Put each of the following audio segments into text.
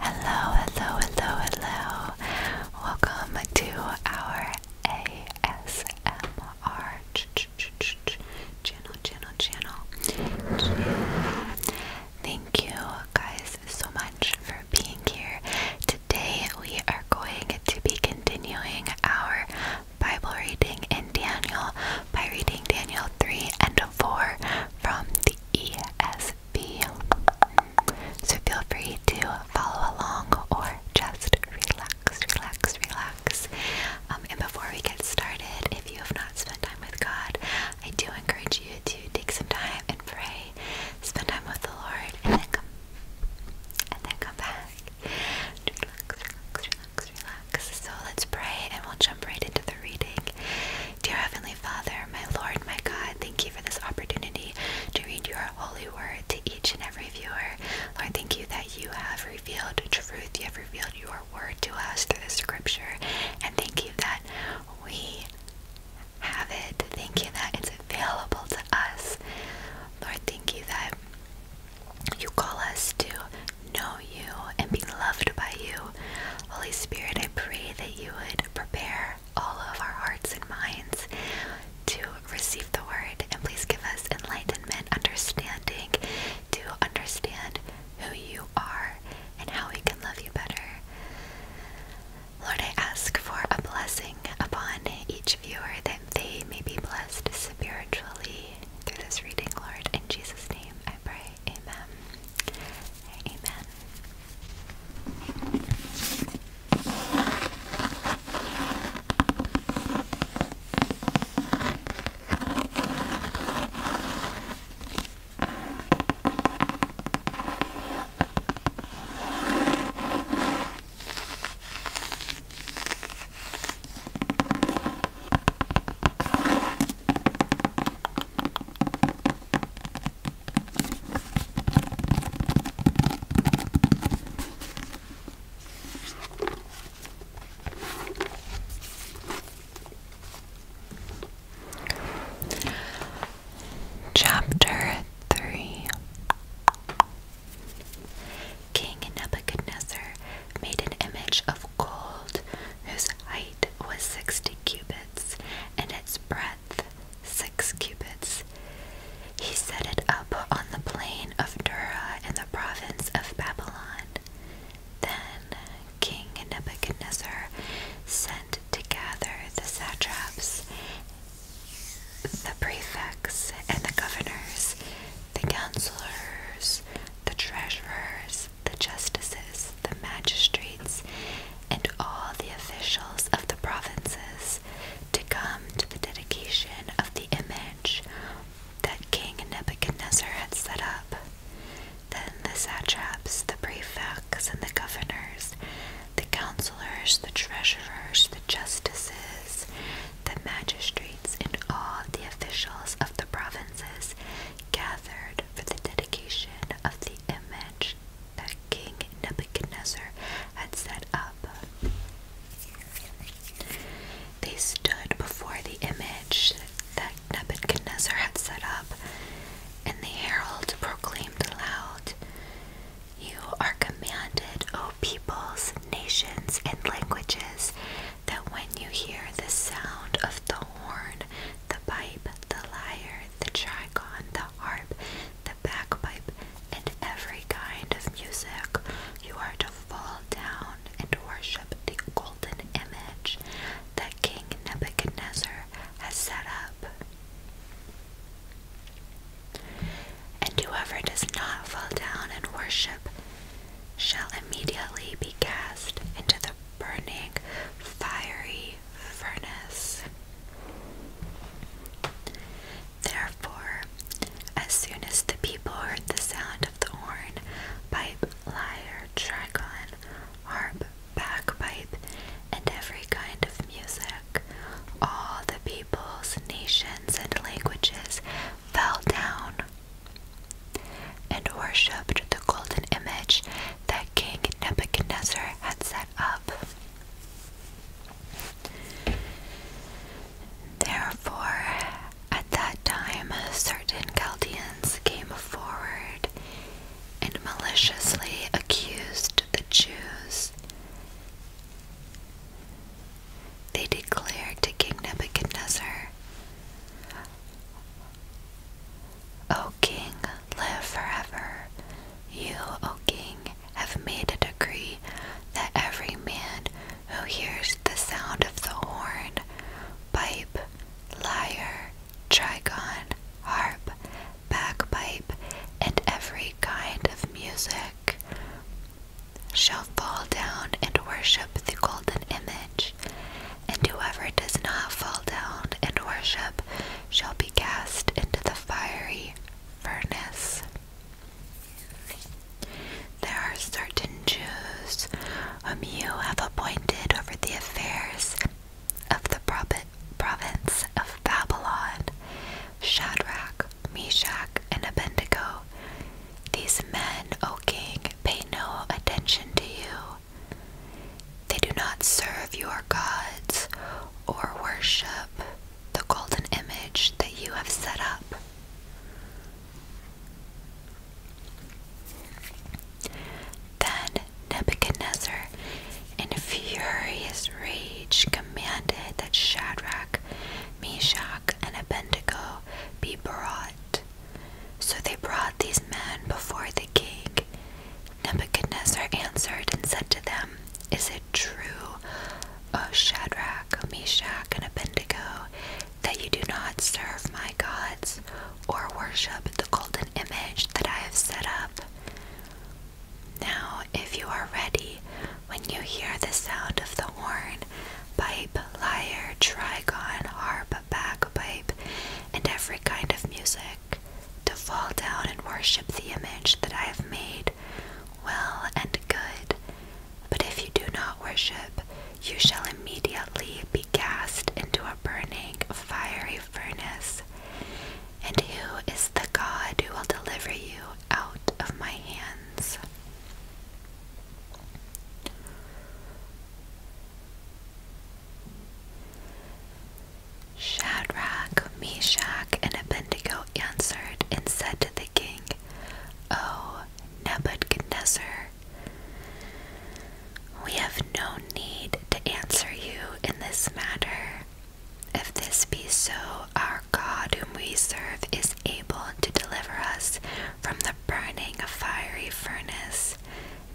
Hello, hello, hello, hello. Welcome to our ASMR channel, channel, channel. Thank you guys so much for being here. Today we are going to be continuing our Bible reading in Daniel by reading Daniel 3 and 4 from the ESV. So feel free to follow along or just relax, relax, relax. Um, and before we get started, if you have not spent time with God, I do encourage you to take some time and pray, spend time with the Lord, and then come and then come back. Relax, relax, relax, relax. So let's pray and we'll jump right into the reading. Dear Heavenly Father, my Lord, my God, thank you for this opportunity to read your holy word to each and every viewer. Lord, thank you that you have revealed truth. You have revealed your word to us through the scripture. And thank you that we have it. Thank you that it's available to us. Lord, thank you that you call us to know you and be loved by you Holy Spirit, I pray that you would prepare all of our hearts and minds to receive the word, and please give us enlightenment, understanding to understand who you are and how we can love you better. Lord, I ask for a blessing upon each viewer that they may be blessed spiritually through this reading, Lord. In Jesus' name I pray. Amen. Amen. Chapter 3 King Nebuchadnezzar made an image of gold whose height was 60 cubits and its breadth six cubits. He set it up on the plain of Dura in the province of Babylon. Then King Nebuchadnezzar sent to gather the satraps, the prefects, and the governors, the counselors, the treasurers, the justices, the magistrates, and all the officials of the provinces to come to the dedication of the image that King Nebuchadnezzar had set up. Then the satraps, the prefects, and the governors, the counselors, the treasurers, the justices, the magistrates, and all the officials of the provinces gathered for the dedication of the image that King Nebuchadnezzar had set up. They stood before the image that Nebuchadnezzar had set up, and the herald proclaimed aloud, You are commanded, O peoples, nations, and languages, that when you hear the sound of the horn, the pipe, the lyre, the trigon, the harp, the bagpipe, and every kind of music. You are to fall down and worship the golden image that King Nebuchadnezzar has set up. And whoever does not fall down and worship shall immediately be cast into the burning, fiery furnace. Therefore, as soon as the people heard the sound of the horn, pipe, lyre, trigon, harp, bagpipe, and every kind of music, all the peoples, nations, and languages fell down and worshipped the golden image that King Nebuchadnezzar had set up. Therefore, at that time, certain Chaldeans came forward and maliciously accused the Jews. They declared to King Nebuchadnezzar, O King, live forever. You, O King, have made a decree that every man who hears the sound of the horn, pipe, lyre, trigon, harp, bagpipe, and every kind of music shall fall down and worship the golden image and whoever does not fall down and worship shall be cast into the fiery furnace. There are certain Jews whom you have appointed over the affairs of the province of Babylon Shadrach, Meshach, and Abednego. These men, O king, pay no attention to you, they do not serve your gods or worship the golden image that you have set up. Then Nebuchadnezzar, in furious rage, commanded that Shadrach, Meshach, and Abednego be brought. So they brought these men before the king, Nebuchadnezzar answered and said to them, Is it true, O Shadrach, Meshach, and Abednego, that you do not serve my gods or worship the golden image that I have set up? Now, if you are ready, when you hear the sound of the horn, pipe, lyre, trigon, harp, bagpipe, and every kind of music, to fall down and worship the image that I have made, well and good. But if you do not worship, you shall immediately be cast into a burning, fiery furnace. And who is the God who will deliver you out of my hands? Shadrach, Meshach, and Abednego answered and said to the king, O Nebuchadnezzar, we have no need to answer you in this matter. If this be so, our God whom we serve is able to deliver us from the burning fiery furnace,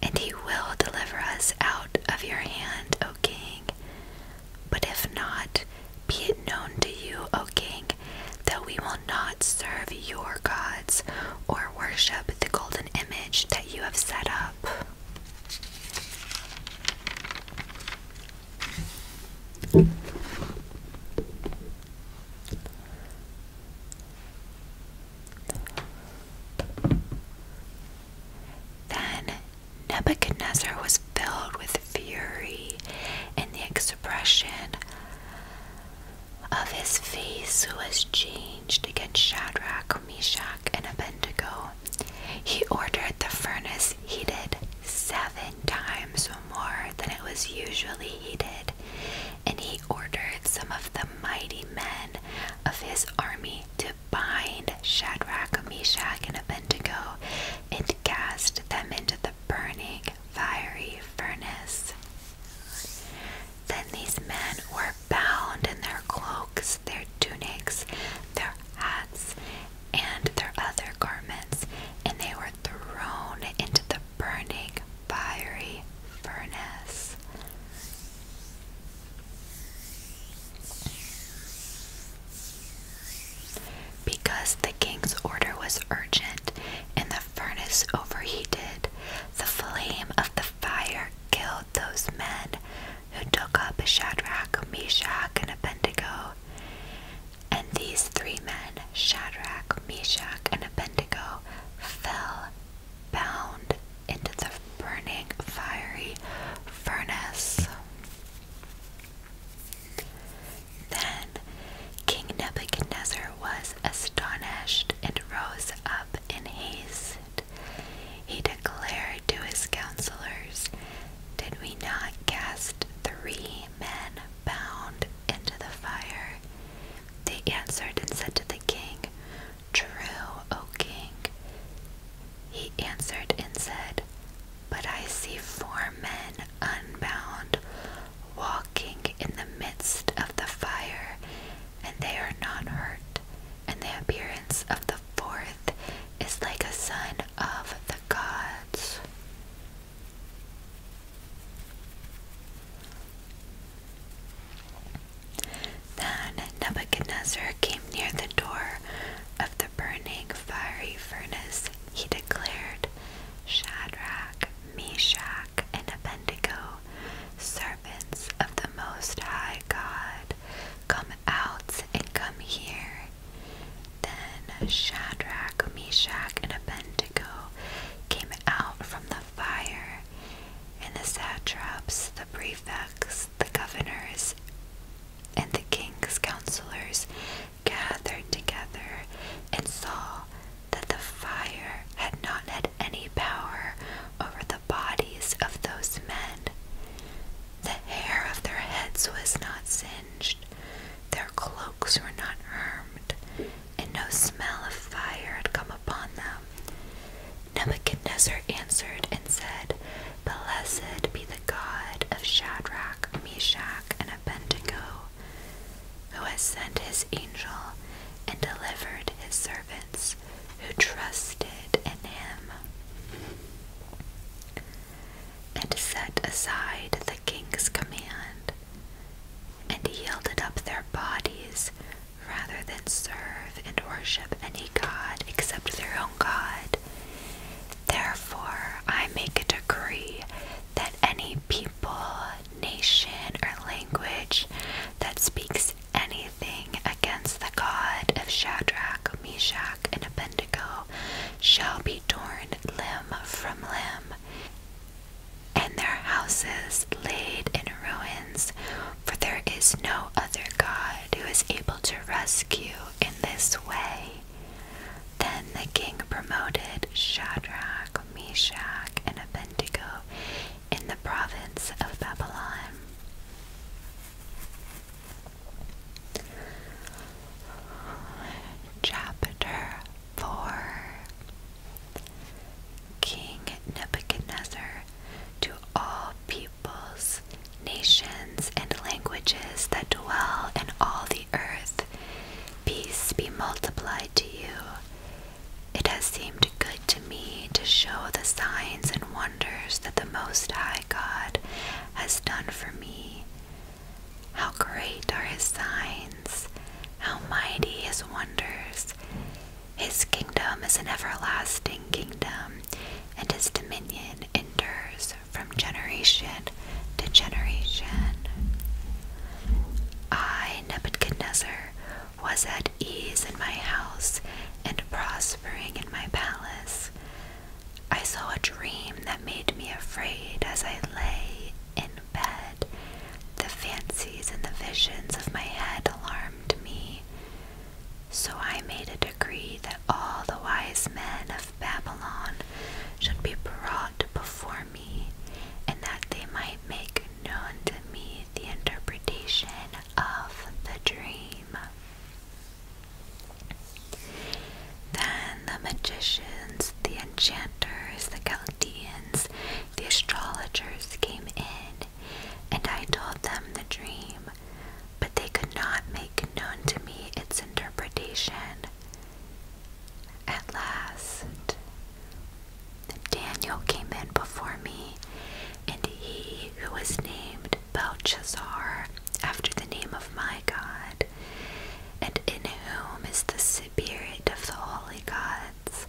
and he will deliver us out of your hand, O king. But if not, be it known to you, O king, that we will not serve your gods or worship the golden image that you have set up. Then Nebuchadnezzar was filled with fury, and the expression of his face was changed against Shadrach, Meshach, and Abednego. He ordered the furnace heated seven times more than it was usually heated, and he ordered some of the mighty men of his army to bind Shadrach, Meshach, and Abednego and cast them into the burning fiery furnace. Then these men were bound in their cloaks, their tunics, their hats, and their other garments, and they were thrown into the burning fiery furnace. Because the king's order was urgent and the furnace overheated, the flame of the fire killed those men who took up Shadrach, Meshach, and Abednego. And these three men, Shadrach, Meshach, and Abednego, fell bound into the burning fiery furnace. Then King Nebuchadnezzar was astonished and rose up in haste. He declared to his counselors, Did we not cast three men bound into the fire? They answered and said to the king, True, O king. He answered and said, But I see four men unbound, walking in the midst of the fire, and they are not hurt, and the appearance of the fourth is like a son of the gods. Then Nebuchadnezzar came near the door of the burning fiery furnace. He declared, Shadrach, Meshach, and Abednego, servants of the Most High God, come out and come here. Then Shadrach, Meshach, and Abednego came out from the fire, and the satraps, the prefects, the governors, and the king's counselors gathered together and saw that the fire had not had any power over the bodies of those men. The hair of their heads was not singed, their cloaks were not harmed, and no smell of fire had come Nebuchadnezzar answered and said, Blessed be the God of Shadrach, Meshach, and Abednego, who has sent his angel and delivered his servants who trusted in him, and set aside the king's command, and yielded up their bodies rather than serve and worship any god except their own God. Therefore, I make a decree that any people, nation, or language that speaks anything against the God of Shadrach, Meshach, and Abednego shall be torn limb from limb, and their houses laid in ruins, for there is no other God god who is able to rescue in this way. Then the king promoted Shadrach, Meshach, and Abednego in the province of Babylon. Chapter 4 King Nebuchadnezzar to all peoples, nations, and languages that dwell in all the earth. Peace be multiplied to you. It has seemed good to me to show the signs and wonders that the Most High God has done for me. How great are his signs, how mighty his wonders. His kingdom is an everlasting kingdom, and his dominion endures from generation to generation. I, Nebuchadnezzar, was at ease in my house and prospering in my palace. I saw a dream that made me afraid as I lay in bed. The fancies and the visions of my head alarmed me. So I made a decree that all the wise men of Babylon should be brought before me, and that they might make known to me the interpretation of the dream. Then the magicians, the enchanters, the Chaldeans, the astrologers came in and I told them the dream, but they could not make known to me its interpretation. At last, Daniel came in before me, and he who was named Belshazzar, after the name of my God, and in whom is the spirit of the holy gods,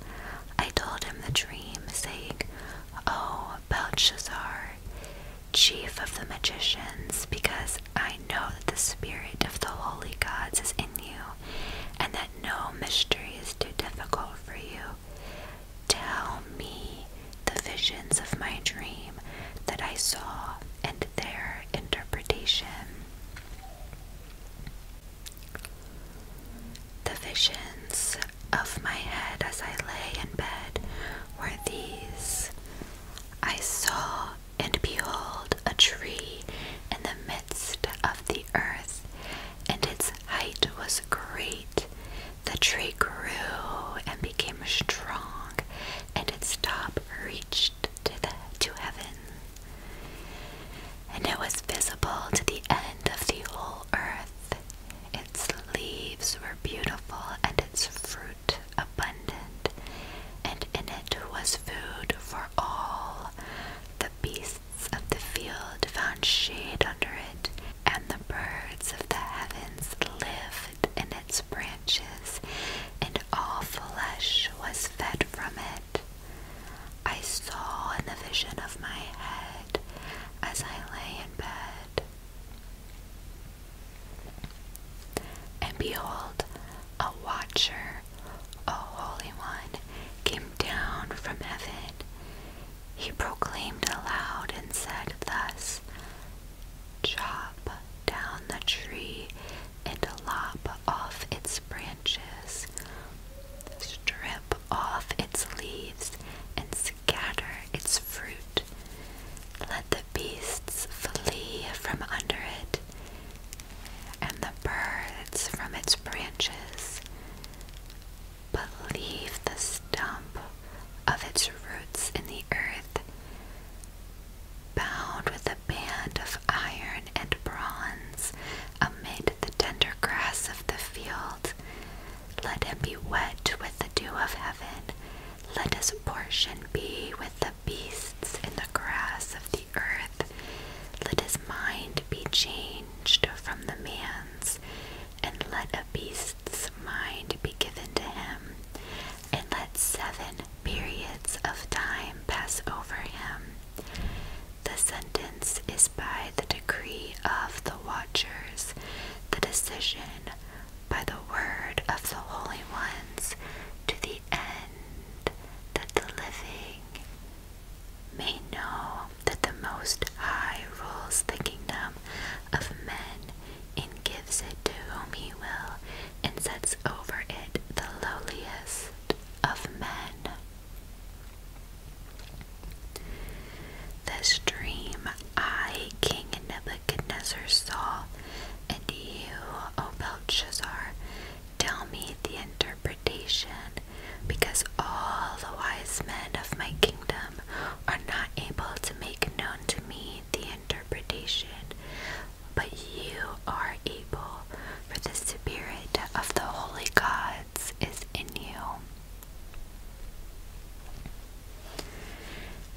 I told him the dream, saying, O oh, Belshazzar, chief of the magicians, because I know that the spirit of the holy gods is in you, and that no mystery is too difficult for you. Tell me the visions of my dream that I saw and their interpretation. The visions of my head as I lay in bed were these I saw and behold a tree in the midst of the earth, and its height was great. The tree grew and became strong, and its top reached to, heaven. And it was visible to the end of the whole earth. Its leaves were beautiful and its fruit abundant, and in it was food for all. The beasts of the field found shade under it, and the birds of the heavens lived in its branches, and all flesh was fed from it. I saw in the vision of my head, as I lay in bed, and behold, a watcher, a holy one, came down from heaven. He proclaimed aloud and said thus Chop down the tree and lop off its branches, strip off its leaves and gather its fruit. Let the beasts flee from under it, and the birds from its branches. But leave the stump of its roots in the earth, bound with a band of iron and bronze amid the tender grass of the field. Let him be wet with the dew of heaven. Let his portion be with the beasts in the grass of the earth. Let his mind be changed from the man's, and let a beast's mind be given to him. And let seven periods of time pass over him. The sentence is by the decree of the watchers the decision by the word of the holy ones to the end that the living may know that the Most High rules the kingdom of men and gives it to whom he will and sets over it the lowliest of men. This dream I, King Nebuchadnezzar, saw, and you, O Belshazzar, tell me the interpretation, because all the wise men of my kingdom are not able to make known to me the interpretation, but you are able, for the Spirit of the holy gods is in you.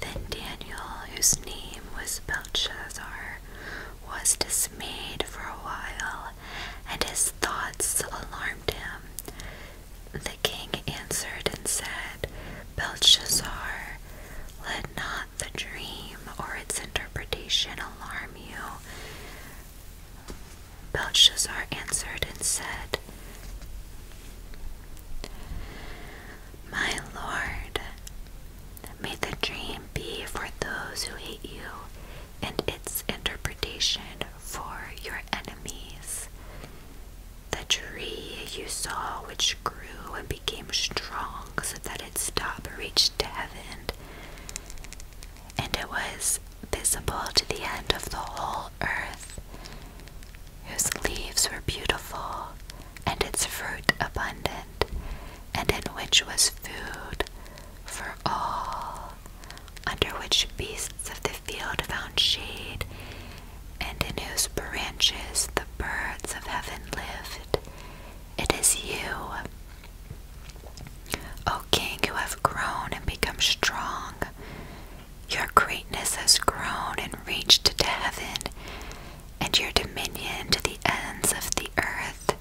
Then Daniel, whose name was Belshazzar, was dismayed for a while, and his thoughts alarmed him. The king answered and said, Belshazzar, let not the dream or its interpretation alarm you, Belshazzar answered and said, My Lord, may the dream be for those who hate you, and its interpretation for your enemies. The tree you saw, which grew and became strong so that its top reached to heaven, and it was visible to the end of the whole earth, whose leaves were beautiful, and its fruit abundant, and in which was food for all, under which beasts of the field found shade, and in whose branches the birds of heaven lived. It is you. O King, who have grown and become strong, your greatness has grown and reached to heaven, and your dominion to the ends of the earth.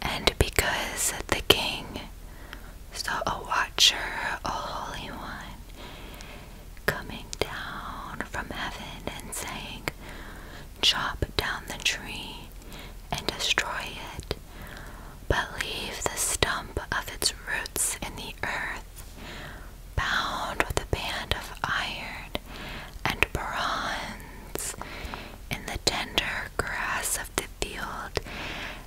And because the king saw a watcher, a holy one, coming down from heaven and saying, Chop down the tree and destroy it, but leave the stump of its roots in the earth, bound with a band of iron and bronze in the tender grass of the field,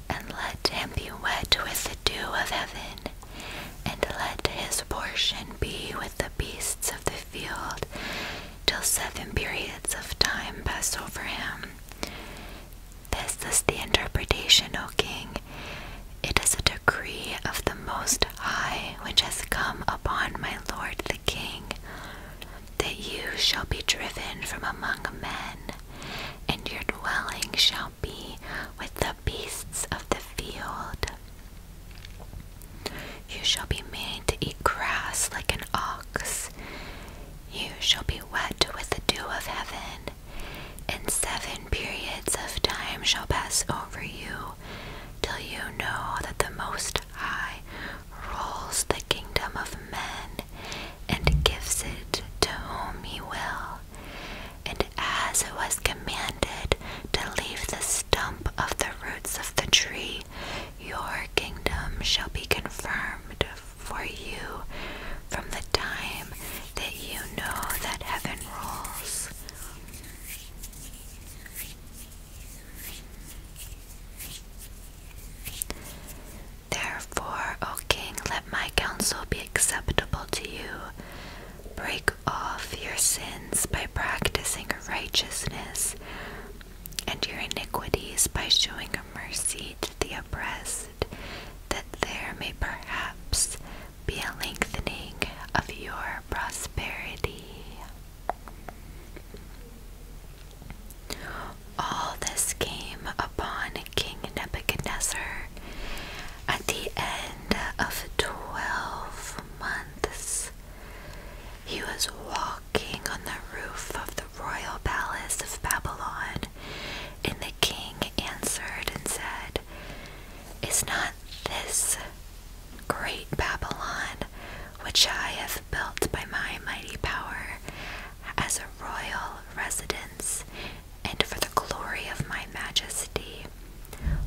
and let him be wet with the dew of heaven, and let his portion be with the beasts of the field till seven periods of time pass over him. This is the interpretation, O king. It is a decree of the Most High which has come upon my lord the king, that you shall be driven from among men, and your dwelling shall be with the beasts of the field. You shall be made to eat grass like an ox. You shall be wet with the dew of heaven, and seven periods of time shall pass over you, till you know that the Most High rules the kingdom of men, and gives it to whom he will. And as it was commanded to leave the stump of the roots of the tree, your kingdom shall be confirmed for you from the time that you know that heaven rules. Therefore, O King, let my counsel be acceptable to you. Break off your sins by practicing righteousness, and your iniquities by showing mercy to the oppressed that there may perhaps be a lengthening of your prosperity. All this came upon King Nebuchadnezzar at the end of twelve months. He was walking on the roof of the the royal palace of Babylon. And the king answered and said, Is not this great Babylon, which I have built by my mighty power, as a royal residence, and for the glory of my majesty?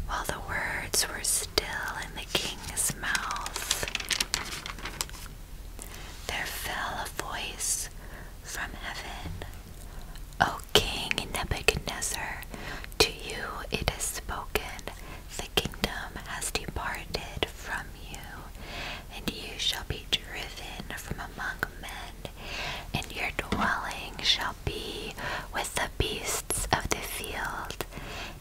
While the words were still in the king's mouth, there fell a voice from heaven. O King Nebuchadnezzar, to you it is spoken, the kingdom has departed from you, and you shall be driven from among men, and your dwelling shall be with the beasts of the field,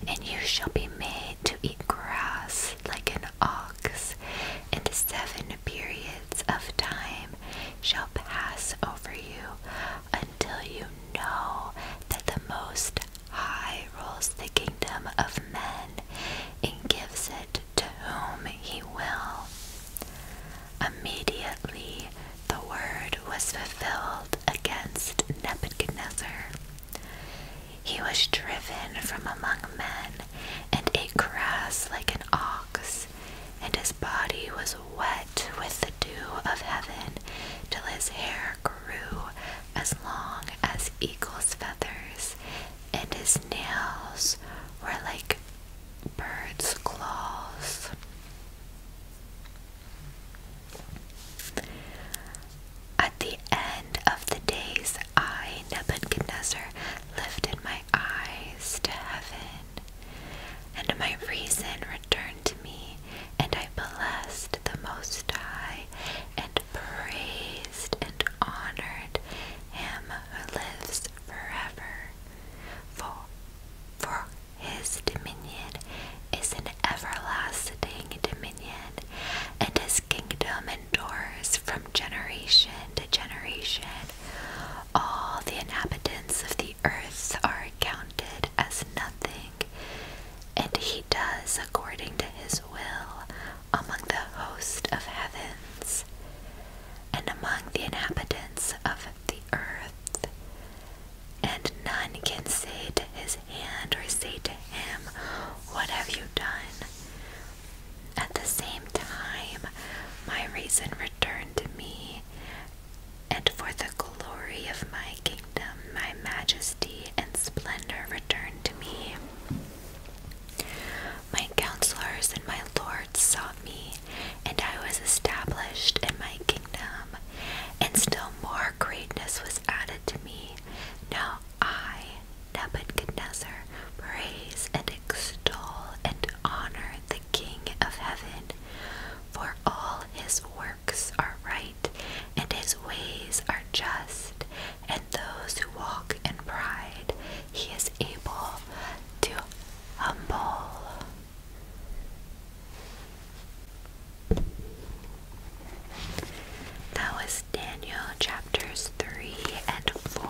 and you shall be made to eat grass like an ox, and seven periods of time shall pass over you until you know that the Most High rules the kingdom of men and gives it to whom he will. Immediately the word was fulfilled against Nebuchadnezzar. He was driven from among men, and ate grass like an ox and his body was wet with the dew of heaven till his hair grew as long as eagle's feathers, and his nails were like birds' claws. At the end of the days, I, Nebuchadnezzar, lifted my eyes to heaven, and my reason returned to me, and I blessed the Most High, and praised and honored him who lives forever. For, for his dominion is an everlasting dominion, and his kingdom endures from generation to generation. All the inhabitants of the earth are counted as nothing, and he does according to his will among the host of heavens and among the inhabitants of the earth. And none can say to his hand or say to him, What have you done? At the same time, my reason returned to me, and for the glory of my kingdom, my majesty and splendor returned to me. My counselors and my lords sought me, and I was established in my kingdom, and still more greatness was added to me. Now I, Nebuchadnezzar, praise and extol and honor the King of heaven, for all his works are right, and his ways are just, and those who walk in pride he is able to humble. That was Daniel chapters 3 and 4.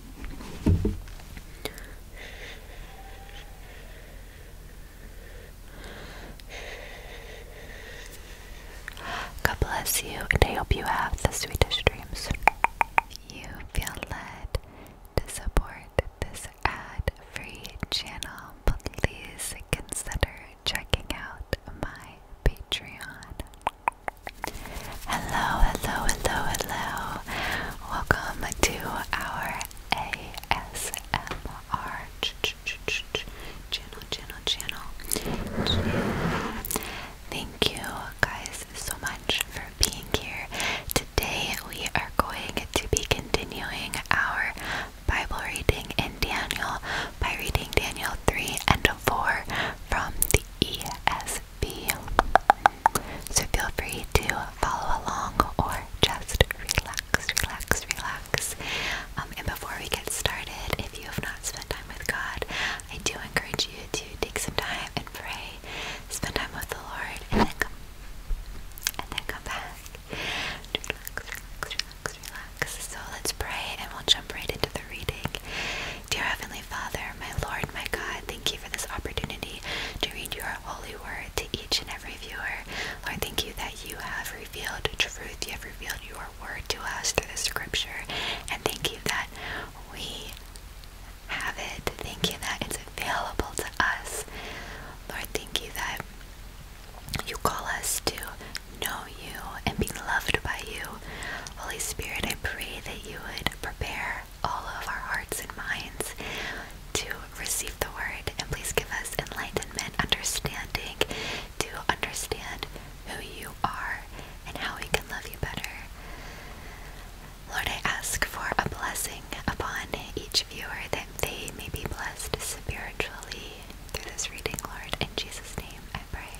God bless you, and I hope you have the sweetest dreams. You feel led to support this ad free channel, please consider checking out my Patreon. Hello, hello, hello, hello. Welcome to our ASMR channel, channel, channel, Thank you guys so much for being here. Today we are going to be continuing our Bible reading in Daniel by reading Daniel 3 and 4 from the ESV be. So feel free to follow along or just relax, relax, relax. Um, and before we get started, if you have not spent time with God, I do encourage you to take some time and pray, spend time with the Lord, and then come and then come back. Relax, relax, relax, relax. So let's pray and we'll jump right into the reading. Dear Heavenly Father, my Lord, my God, thank you for this opportunity to read your holy word to each and every viewer. Lord, thank you that you have revealed truth. You have revealed your word to us through the scripture. And thank you that we have it. Thank you that it's available to us. Lord, thank you that you call us to know you and be loved by you Holy Spirit, I pray that you would prepare all of our hearts and minds to receive the word, and please give us enlightenment, understanding to understand who you are and how we can love you better. Lord, I ask for a blessing upon each viewer that they may be blessed spiritually through this reading, Lord. In Jesus' name I pray.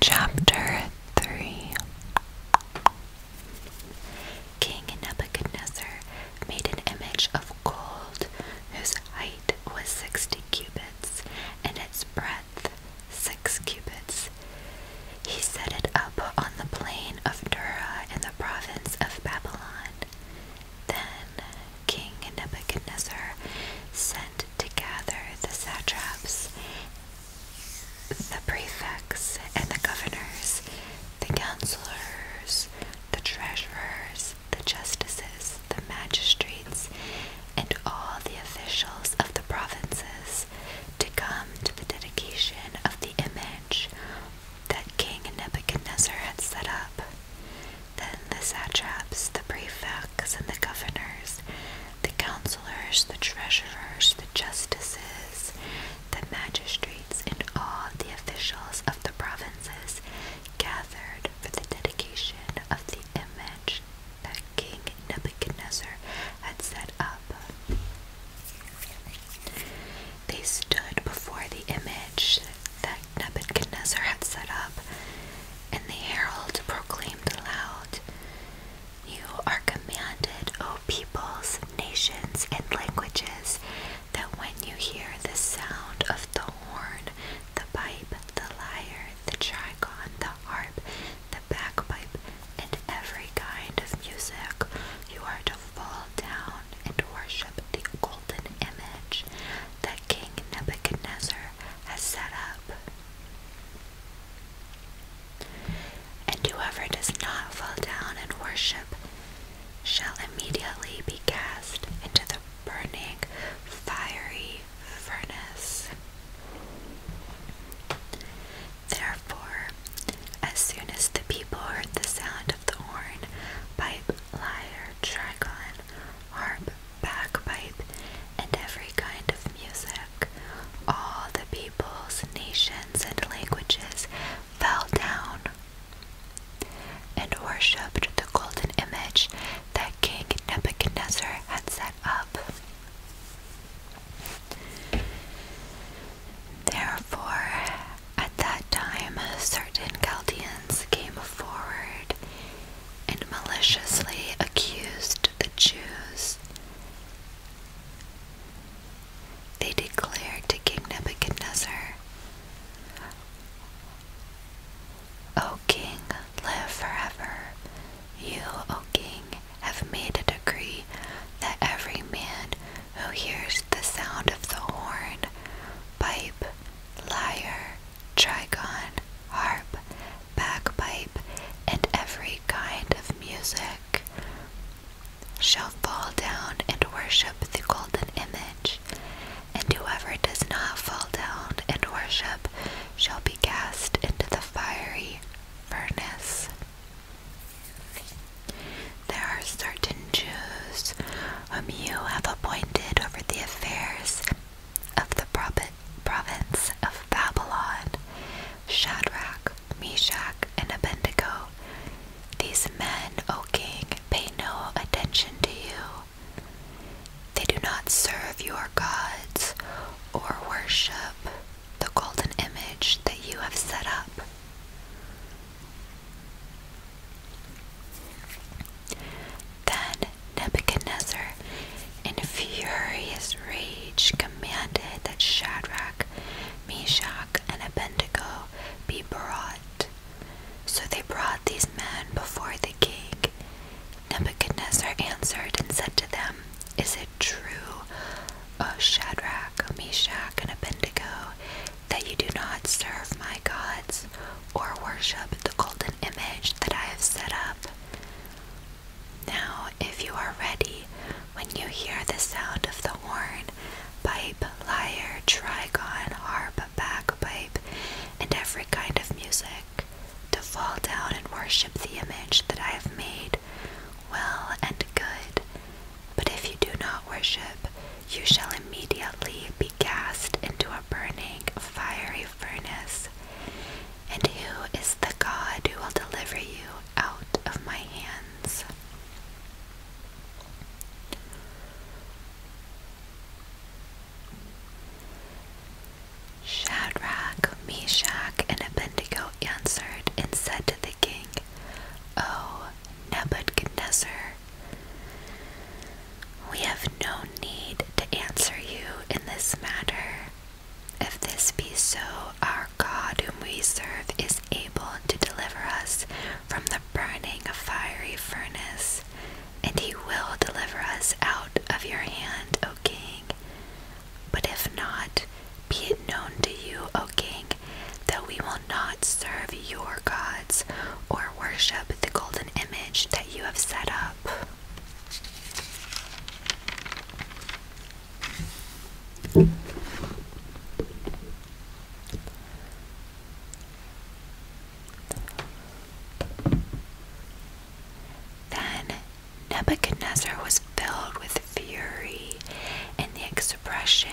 Chapter 3 King Nebuchadnezzar made an image of gold whose height was 60 cubits, and its breadth six cubits. He set it up on the plain of Dura in the province of Babylon. Then King Nebuchadnezzar sent to gather the satraps, the prefects, and the governors, the counselors, the treasurers, the justices, the magistrates, and all the officials of the provinces to come to the dedication of the image that King Nebuchadnezzar had set up. Then the satraps, the prefects, and the governors, the counselors, the treasurers, the justices, the magistrates, and all the officials of the provinces gathered for the dedication of the image that King Nebuchadnezzar had set up. They stood before the image that Nebuchadnezzar had set up, and the herald proclaimed aloud, You are commanded, O peoples, nations, and languages, that when you hear the sound of the horn, the pipe, the lyre, the trigon, the harp, the bagpipe, and every kind of music. You are to fall down and worship the golden image that King Nebuchadnezzar has set up. And whoever does not fall down and worship shall immediately be cast into the burning, fiery furnace. Therefore, as soon as the people heard the sound of the horn, pipe, lyre, trigon, harp, bagpipe, and every kind of music, all the peoples, nations, and languages fell down and worshipped the golden image that King Nebuchadnezzar had set up. Therefore, at that time, certain Chaldeans came forward and maliciously accused the Jews. They declared to King Nebuchadnezzar, O king, live forever. You, O king, have made a decree that every man who hears the sound of the horn, pipe, lyre, trigon, harp, bagpipe, and every kind of music shall fall down and worship the golden image, and whoever does not fall down and worship shall be cast into the fiery furnace. There are certain Jews whom you have appointed over the affairs of the province of Babylon, Shadrach, Meshach, and Abednego. These men, O king, pay no attention to you they do not serve your gods or worship the golden image that you have set up. Then Nebuchadnezzar, in furious rage, commanded that Shadrach, Meshach, and Abednego be brought. So they brought these men before the king, Nebuchadnezzar answered and said to them, Is it true, O uh, Shadrach, Meshach, and Abednego, that you do not serve my gods or worship the golden image that I have set up? Now, if you are ready, when you hear the sound of the horn, pipe, lyre, trigon, harp, bagpipe, and every kind of music, to fall down and worship the image that I have made, well and good. But if you do not worship, you shall immediately be cast into a burning, fiery furnace. And who is the God who will deliver you out of my hands? Shadrach, Meshach, and Abednego answered and said to the king, O Nebuchadnezzar, we have no need to answer you in this matter. If this be so, our God whom we serve is able to deliver us from the burning of fiery furnace, and he will deliver us out of your hand, O king. But if not, be it known to you, O king, that we will not serve your gods or worship the golden image that you have set up. Then Nebuchadnezzar was filled with fury, and the expression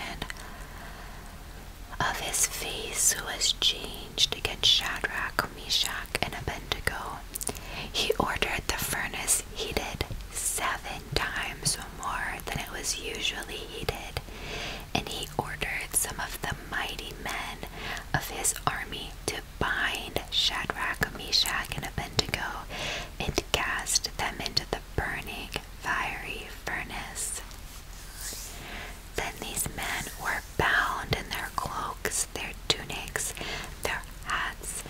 of his face was changed against Shadrach, Meshach, and Abednego. He ordered the furnace heated seven times more than it was usually heated, and he ordered some of the mighty men of his army to bind Shadrach, Meshach, and Abednego and cast them into the burning fiery furnace. Then these men were bound in their cloaks, their tunics, their hats,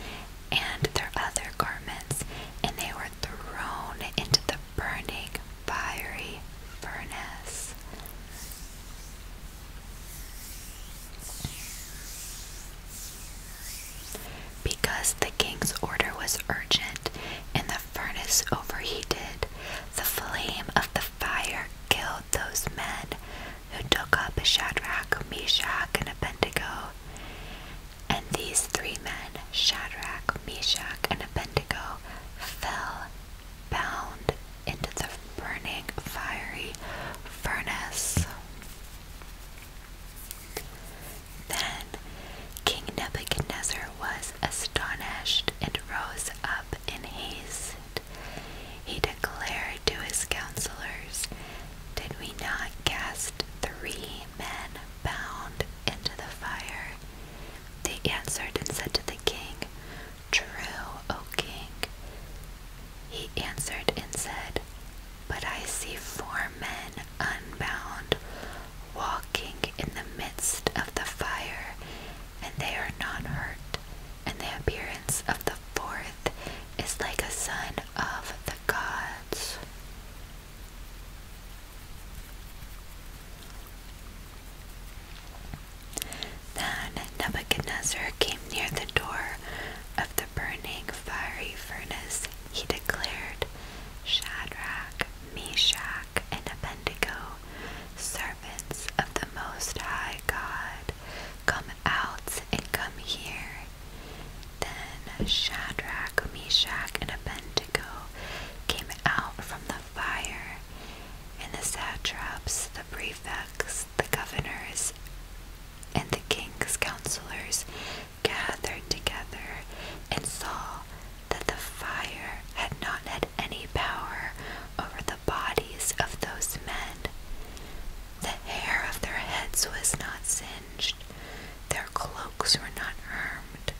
and their other garments, and they were thrown into the burning fiery furnace. Because the king's order was urgent and the furnace overheated, the flame of the fire killed those men who took up Shadrach, Meshach, and Abednego. And these three men, Shadrach, Meshach, and Abednego, fell bound into the burning fiery furnace. Then King Nebuchadnezzar was astonished and rose up in haste. He declared to his counselors, Did we not cast three men bound into the fire? They answered and said to the king, True, O king. He answered and said, But I see four men unbound, walking in the midst of the fire, and they are not hurt, and the appearance of the fourth is like a son of the gods. Then Nebuchadnezzar came near the door of the burning fiery furnace. He declared, Shadrach, Meshach, and Abednego, servants of the Most High God, come out and come here. Then Shadrach, Meshach, and Abednego came out from the fire and the satraps, the prefects, the governors, and the king's counselors gathered together and saw that the fire had not had any power over the bodies of those men. The hair of their heads was not singed, their cloaks were not harmed,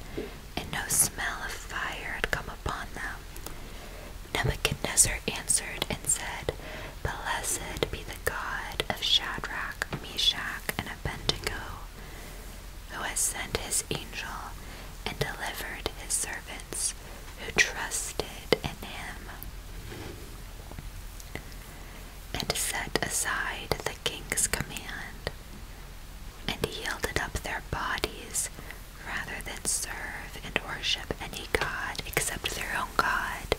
and no smell of fire had come upon them. Nebuchadnezzar answered and said, Blessed be the God of Shadrach, Meshach, and Abednego, who has sent his angel and delivered his servants who trusted in him, and set aside the king's command, and yielded up their bodies rather than serve and worship any god except their own God.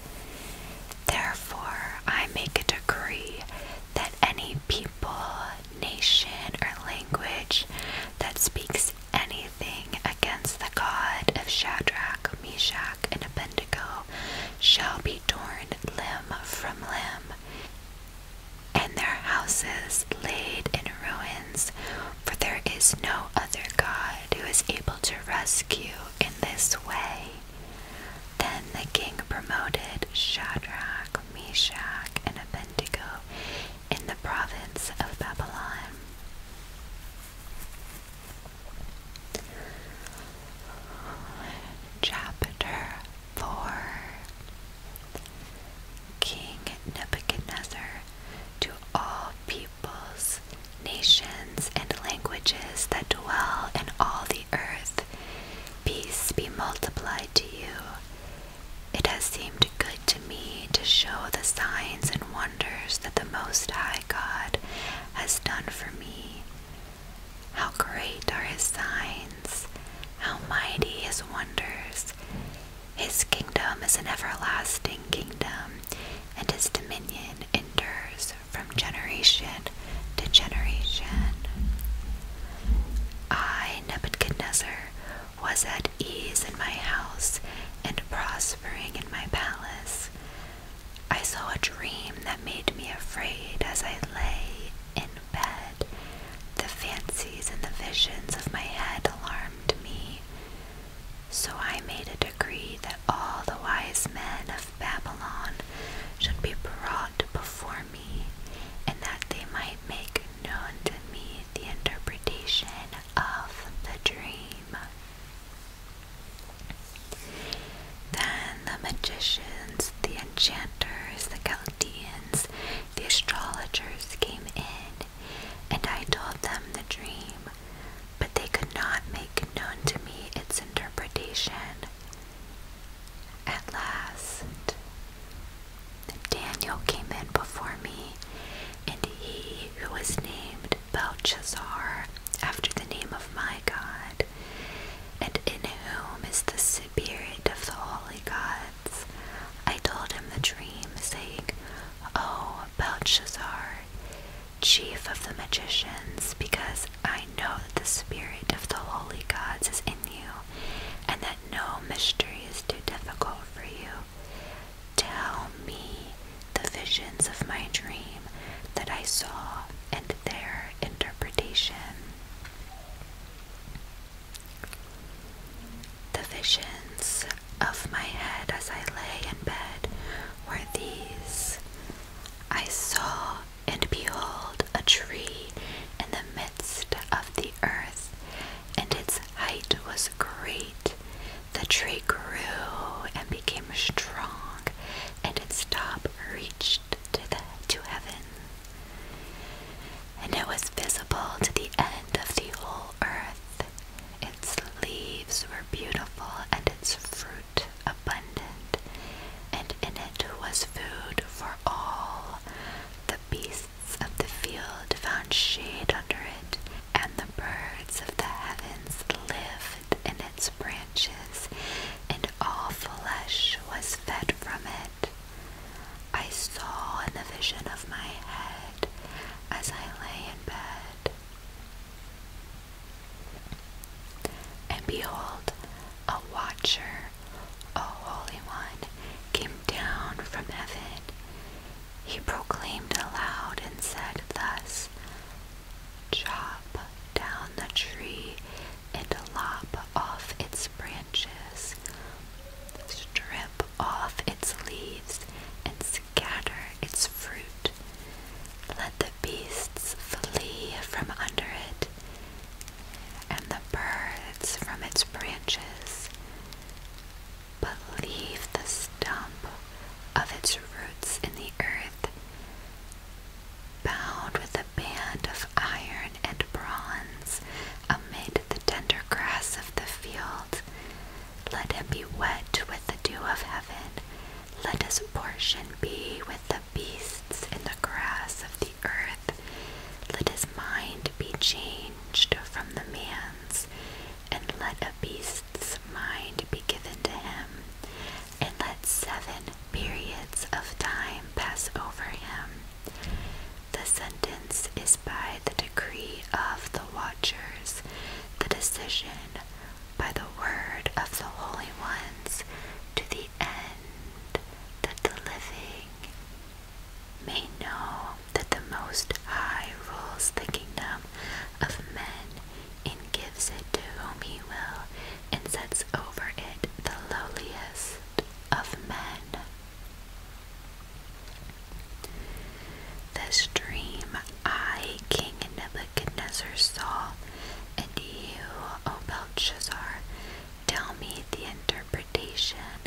Therefore, I make a decree that any people, nation, or language that speaks anything against the God of Shadrach, Meshach, and Abednego shall be torn limb from limb, and their houses laid in ruins, for there is no other God god who is able to rescue in this way. Then the king promoted Shadrach, Meshach, and Abednego in the province of Babylon. Chapter 4 King Nebuchadnezzar to all peoples, nations, and languages that dwell in all the earth. Peace be multiplied to you. It has seemed good to me to show the signs and wonders that the Most High God has done for me. How great are his signs! How mighty his wonders! His kingdom is an everlasting kingdom, and his dominion endures from generation to generation. I, Nebuchadnezzar, was at ease in my house and prospering in my palace. I saw a dream that made me afraid as I lay in bed. The fancies and the visions of my head alarmed me. So I made a decree that all the wise men of Babylon should be brought before me, and that they might make known to me the interpretation of the dream. Then the magicians, the enchanters, the Chaldeans, the astrologers came in and I told them the dream, but they could not make known to me its interpretation. At last, Daniel came in before me, and he who was named Belshazzar, after the name of my God, and in whom is the Spirit of the holy gods, I told him the dream, saying, O Belshazzar, chief of the magicians, because I know that the spirit of the holy gods is in you, and that no mystery is too difficult for you. Tell me the visions of my dream that I saw and their interpretation. The visions of my head as I lay in bed were these I saw and behold a tree in the midst of the earth, and its height was great. The tree grew and became strong, and its top reached to, the, to heaven. And it was visible to the end of the whole earth. Its leaves were beautiful and its fruit abundant, and in it was food for all. The beasts of the field found shade under it, and the birds of the heavens lived in its branches, and all flesh was fed from it. I saw in the vision of my head, as I lay in bed, and behold, a watcher, a holy one, came down from heaven. He proclaimed aloud and said thus, Chop down the tree and lop off its branches, strip off its leaves and scatter its fruit. Let the beasts flee from under it, and the birds from its branches. But leave the stump of its roots in the earth, bound with a band of iron and bronze amid the tender grass of the field, let him be wet with the dew of heaven. Let his portion be with the beasts in the grass of the earth. Let his mind be changed from the man's, and let a beast's mind be given to him. And let seven periods of time pass over him. The sentence is by the decree of the watchers, the decision by the word of the holy ones to the end that the living may know that the Most High rules the kingdom of men and gives it to whom he will and sets over it the lowliest of men. This dream I, King Nebuchadnezzar, saw, and you, O Belshazzar, tell me the interpretation,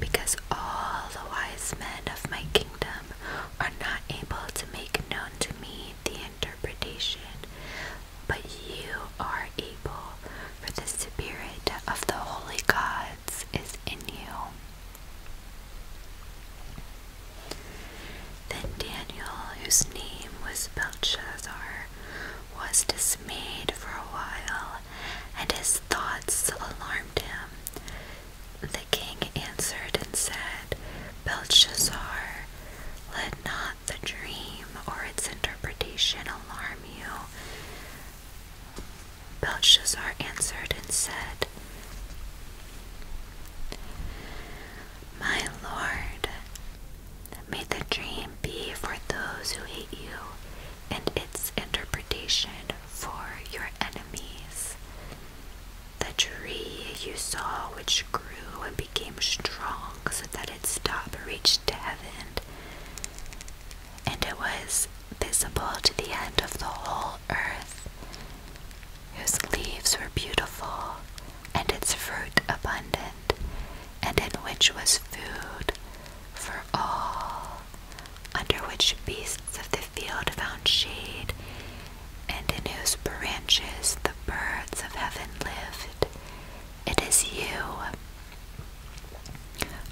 because all the wise men of my kingdom are not able to make known to me the interpretation, but you are able, for the Spirit of the holy gods is in you. Then Daniel, whose name was Belshazzar, was dismayed for a while, and his thoughts alarmed him. The king answered and said, Belshazzar, let not the dream or its interpretation alarm you. Belshazzar answered and said, my Lord, may the dream be for those who hate you, and its interpretation for your enemies. The tree you saw, which grew and became strong so that its top reached to heaven, and it was visible to the end of the whole earth, whose leaves were beautiful, and its fruit abundant, and in which was food for all, under which beasts of the field found shade, and in whose branches the birds of heaven lived. It is you,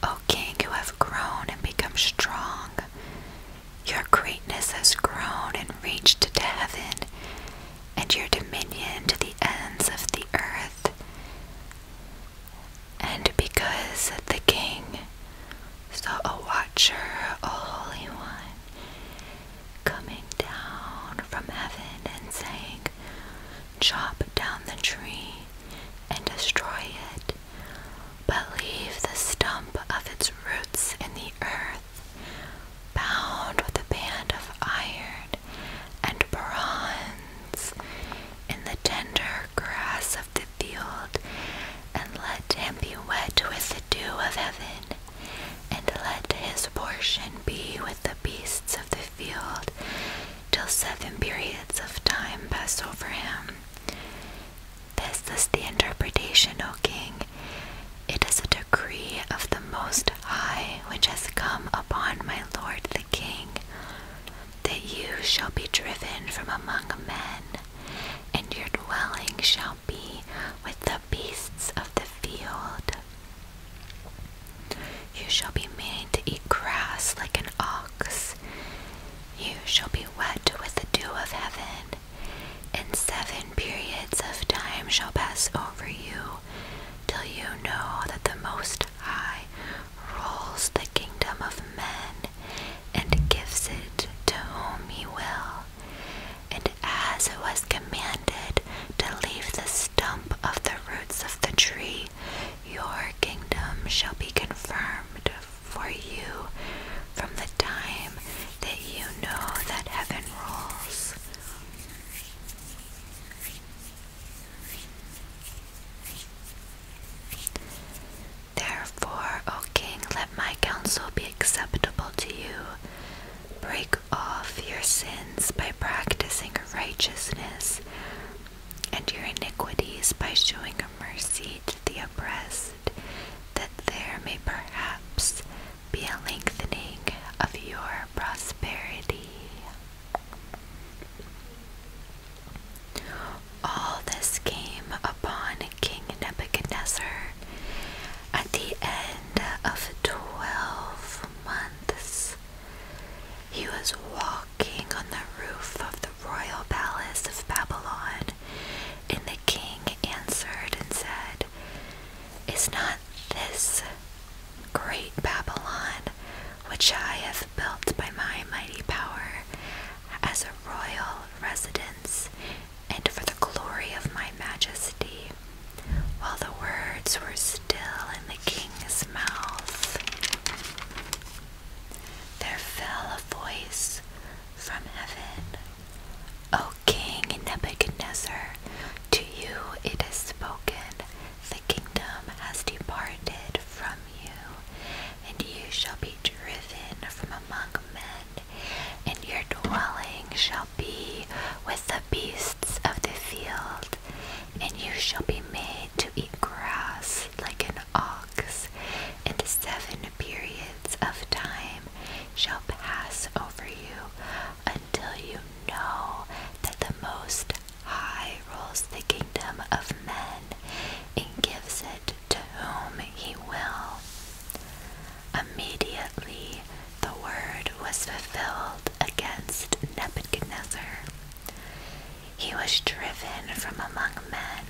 O King, who have grown and become strong. Your greatness has grown and reached to heaven, and your dominion to the ends of the earth. And because the king saw a watcher, a holy one, coming down from heaven and saying, Chop down the tree and destroy it, but leave the stump of its roots in the earth, bound with a band of iron and bronze in the tender grass of the field, and let him be wet with the dew of heaven, and let his portion be with the beasts of the field till seven periods of time pass over him. This is the interpretation, O king. It is a decree of the Most High which has come upon my lord the king, that you shall be driven from among men, and your dwelling shall be with the beasts of the field. You shall be made to eat grass like an ox. You shall be wet with the dew of heaven, and seven periods of time shall pass over you, till you know that the Most High rules the kingdom of men, and gives it to whom he will. And as it was commanded to leave the stump of the roots of the tree, your kingdom shall be confirmed for you from the time that you know that heaven rules. Therefore, O King, let my counsel be acceptable to you. Break off your sins by practicing righteousness, and your iniquities by showing mercy to the oppressed that there may perhaps be a lengthening of your prosperity. All this came upon King Nebuchadnezzar at the end of twelve months. He was walking on the roof of the royal palace of Babylon and the king answered and said, Is not this great Babylon, which I have built by my mighty power, as a royal residence, and for the glory of my majesty? While the words were still in the king's mouth, there fell a voice from heaven. O King Nebuchadnezzar, to you it is spoken, the kingdom has departed from you, and you shall be driven from among men, and your dwelling shall be with the beasts of the field, and you shall be made to eat grass like an ox, and seven periods of time shall pass over you until you know that the Most High rules the kingdom of men and gives it to whom he will. Immediately the word was fulfilled against Nebuchadnezzar. He was driven from among men,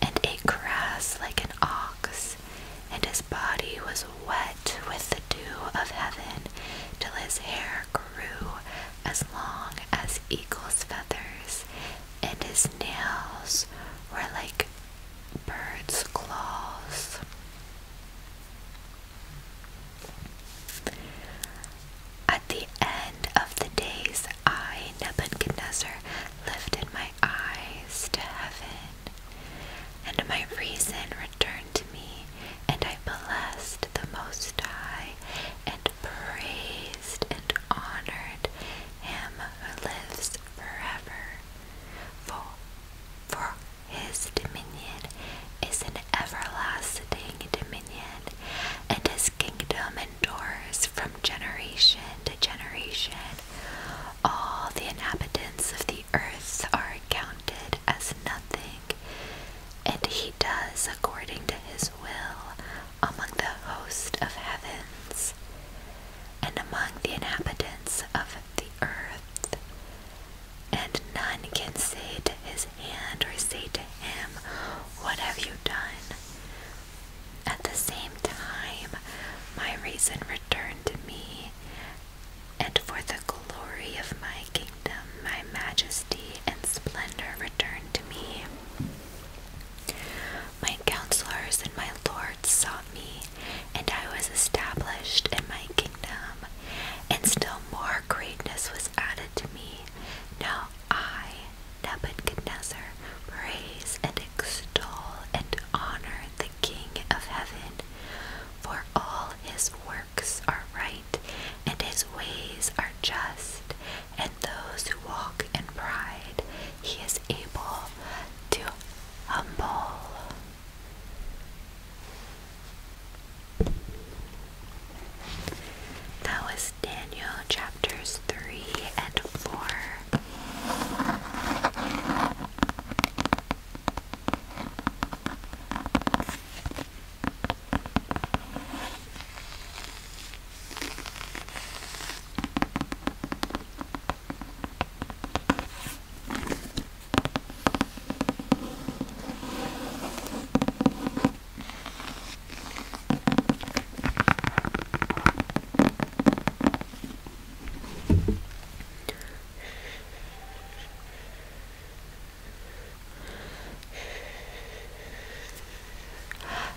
and ate grass like an ox and his body was wet with the dew of heaven till his hair grew as long as eagle's feathers, and his nails were like birds' claws. At the end of the days, I, Nebuchadnezzar, lifted my eyes to heaven, and my reason returned to me, and I blessed the Most High, and praised and honored him who lives forever. For, for his dominion is an everlasting dominion, and his kingdom endures from generation to generation. All the inhabitants of the earth are counted as nothing, and he does according to his will among the host of heavens and among the inhabitants of the earth. And none can say to his hand or say to him, What have you done? At the same time, my reason returned to me, and for the glory of my kingdom, my majesty and splendor returned to me. My counselors and my lords sought me, and I was established in my kingdom, and still more greatness was added to me. Now I, Nebuchadnezzar, praise and extol and honor the King of heaven, for all his works are right, and his ways are just, and those who walk in pride he is able to humble. That was Daniel chapters three and four.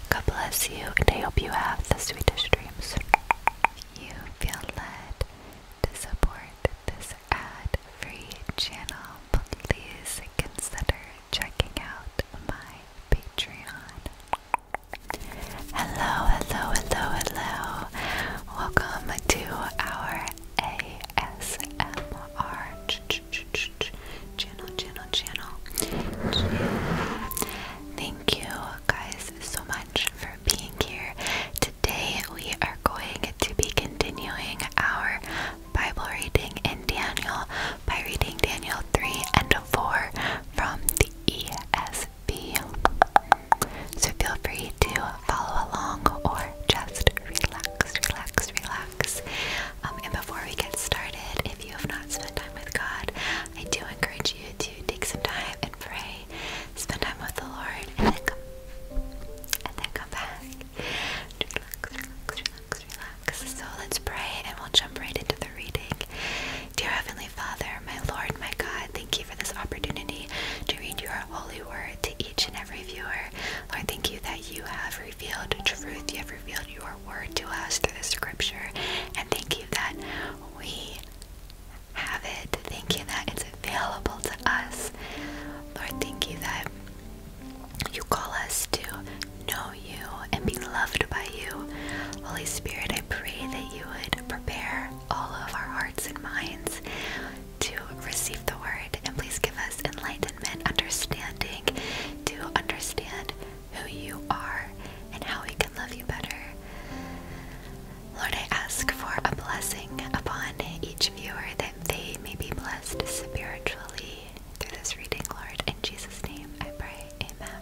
God bless you, and I hope you have the sweetest dreams. You feel led to support this ad free channel, please consider checking out my Patreon. Hello, hello, hello, hello. Welcome to our ASMR ch ch ch ch ch channel, channel, channel, channel. Thank you guys so much for being here. Today we are going to be continuing our Bible reading in Daniel by reading Daniel 3 and 4 from the ES so feel free to follow along or just relax, relax, relax. Um, and before we get started, if you have not spent time with God, I do encourage you to take some time and pray, spend time with the Lord, and then come, and then come back. relax, relax, relax. So let's pray and we'll jump right into the reading. Dear Heavenly Father, my Lord, my God, thank you for this opportunity to read your holy word to each and every viewer. Lord, thank you that you have revealed truth. You have revealed your word to us through the scripture. And thank you that we have it. Thank you that it's available to us. Lord, thank you that you call us to know you and be loved by you. Holy Spirit, I pray that you would prepare all of our hearts and minds to receive the word. And please give us enlightenment, understanding to understand who you are and how we can love you better. Lord, I ask for a blessing upon each viewer that they may be blessed spiritually through this reading, Lord. In Jesus' name I pray. Amen.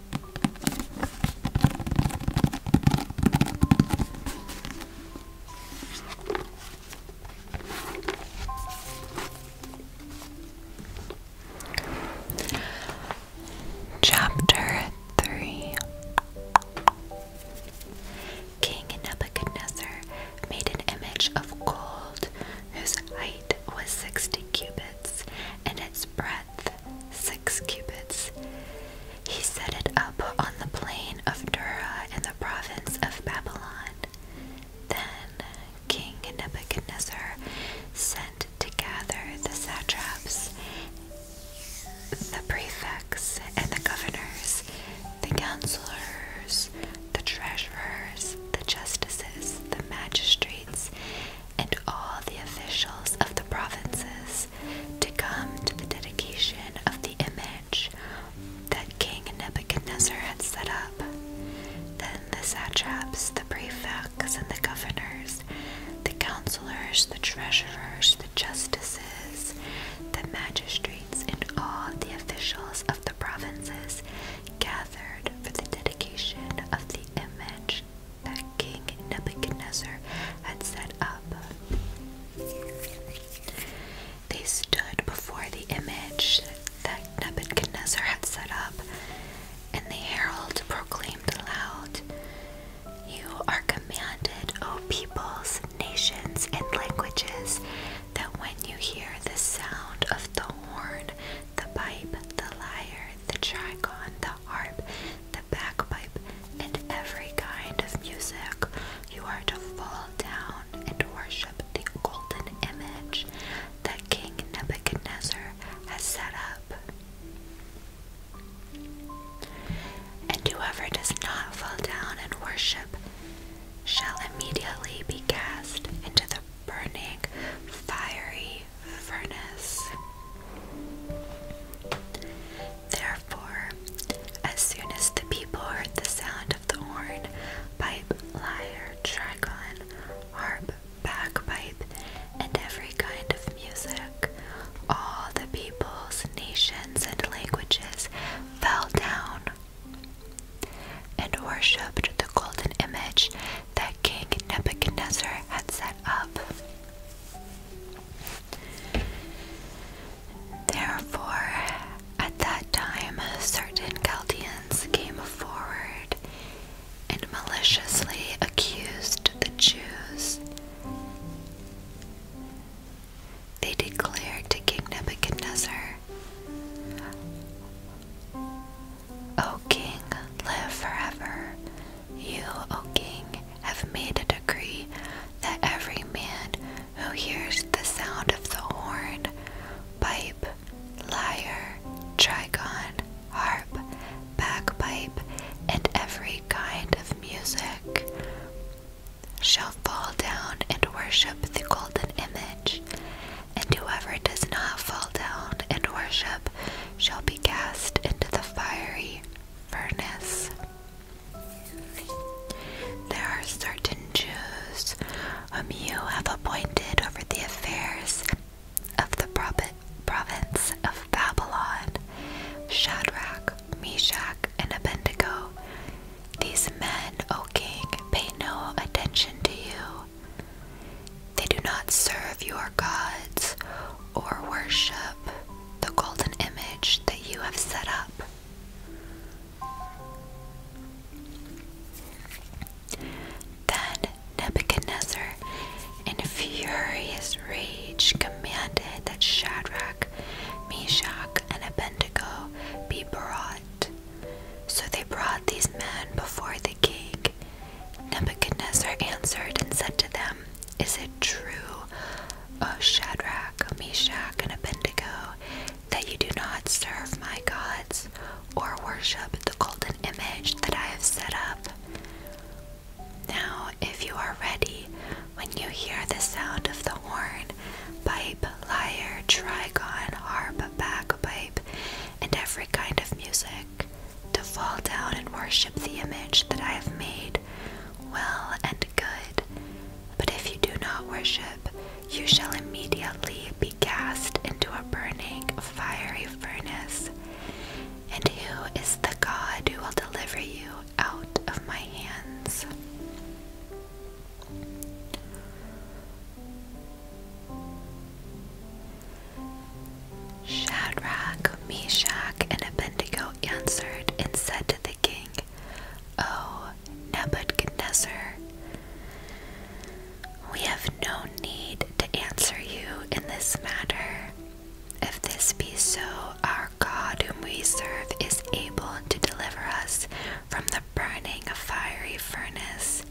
Chapter 3 King Nebuchadnezzar made an image of gold whose height was 60 cubits and its breadth six cubits. He set it up on the plain of Dura in the province of Babylon. Then King Nebuchadnezzar sent to gather the satraps, the prefects, and the governors, the counselors, the treasurers, the justices, the magistrates, and all the officials of the provinces to come to the dedication of the image that King Nebuchadnezzar had set up. Then the satraps, the prefects, and the governors, the counselors, the treasurers, the justices, the magistrates, and all the officials of the provinces gathered for the dedication of the image that King Nebuchadnezzar had set up. They stood before the image that Nebuchadnezzar had set up, and the herald proclaimed aloud, You are commanded, O peoples, nations, and languages, that when you hear the sound of the horn, the pipe, the lyre, the trigon, the harp, the bagpipe, and every kind of music. You are to fall down and worship the golden image that King Nebuchadnezzar has set up. And whoever does not fall down and worship shall immediately be cast into the burning, fiery furnace. Therefore, as soon as the people heard the sound of the horn, pipe, lyre, trigon, harp, bagpipe, and every kind of music, all the peoples, nations, and languages fell down and worshipped the golden image that King Nebuchadnezzar had set up. Therefore, at that time, certain Chaldeans came forward and maliciously accused the Jews. They declared to King Nebuchadnezzar, O king, live forever. You, O king, have made a decree that every man who hears the sound of the horn, pipe, lyre, trigon, harp, bagpipe, and every kind of music shall fall down and worship the golden image and whoever does not fall down and worship shall be cast into the fiery furnace. There are certain Jews whom you have appointed over the affairs of the province of Babylon, Shadrach, Meshach, and Abednego. These men, O king, pay no attention to you they do not serve your gods or worship the golden image that you have set up. Then Nebuchadnezzar, in furious rage, commanded that Shadrach, Meshach, and Abednego be brought. So they brought these men before the king, Nebuchadnezzar answered and said to them, Is it true, O Shadrach, Meshach, and Abednego, that you do not serve my gods or worship the golden image that I have set up? Now, if you are ready, when you hear the sound of the horn, pipe, lyre, trigon, harp, bagpipe, and every kind of music, to fall down and worship the image that I have made, well and good. But if you do not worship, you shall immediately be cast into a burning, fiery furnace. And who is the God who will deliver you out of my hands? Shadrach, Meshach, and Abednego answered and said to the king, O Nebuchadnezzar, we have no need to answer you in this matter. If this be so, our God whom we serve is able to deliver us from the burning of fiery furnace,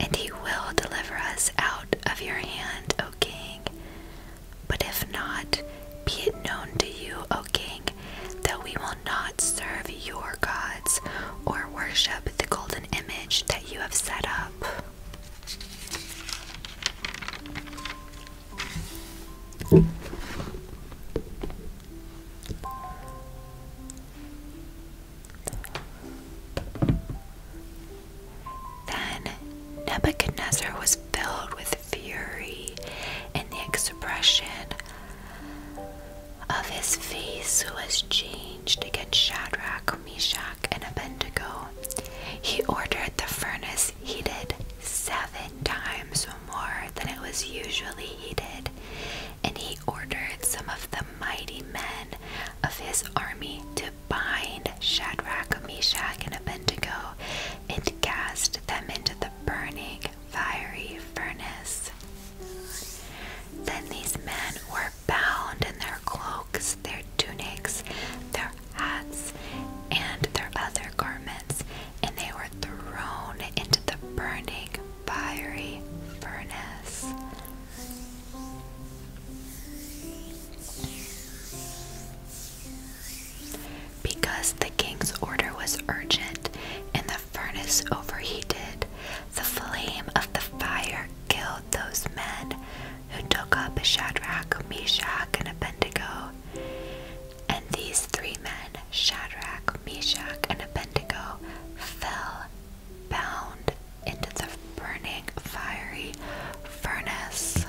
and he will deliver us out of your hand, O king. But if not, be it known to you, O king, that we will not serve your gods or worship the golden image that you have set up. Then Nebuchadnezzar was filled with fury, and the expression of his face was changed against Shadrach, Meshach, and Abednego. He ordered the furnace heated seven times more than it was usually heated, and he ordered some of the mighty men of his army to bind Shadrach, Meshach, and Abednego and cast them into the burning fiery furnace. Then these men were bound in their cloaks, their tunics, their hats, and their other garments, and they were thrown into the burning fiery furnace. Because the king's order was urgent and the furnace overheated, the flame of the fire killed those men who took up Shadrach, Meshach, and Abednego. And these three men, Shadrach, Meshach, and Abednego, fell bound into the burning fiery furnace.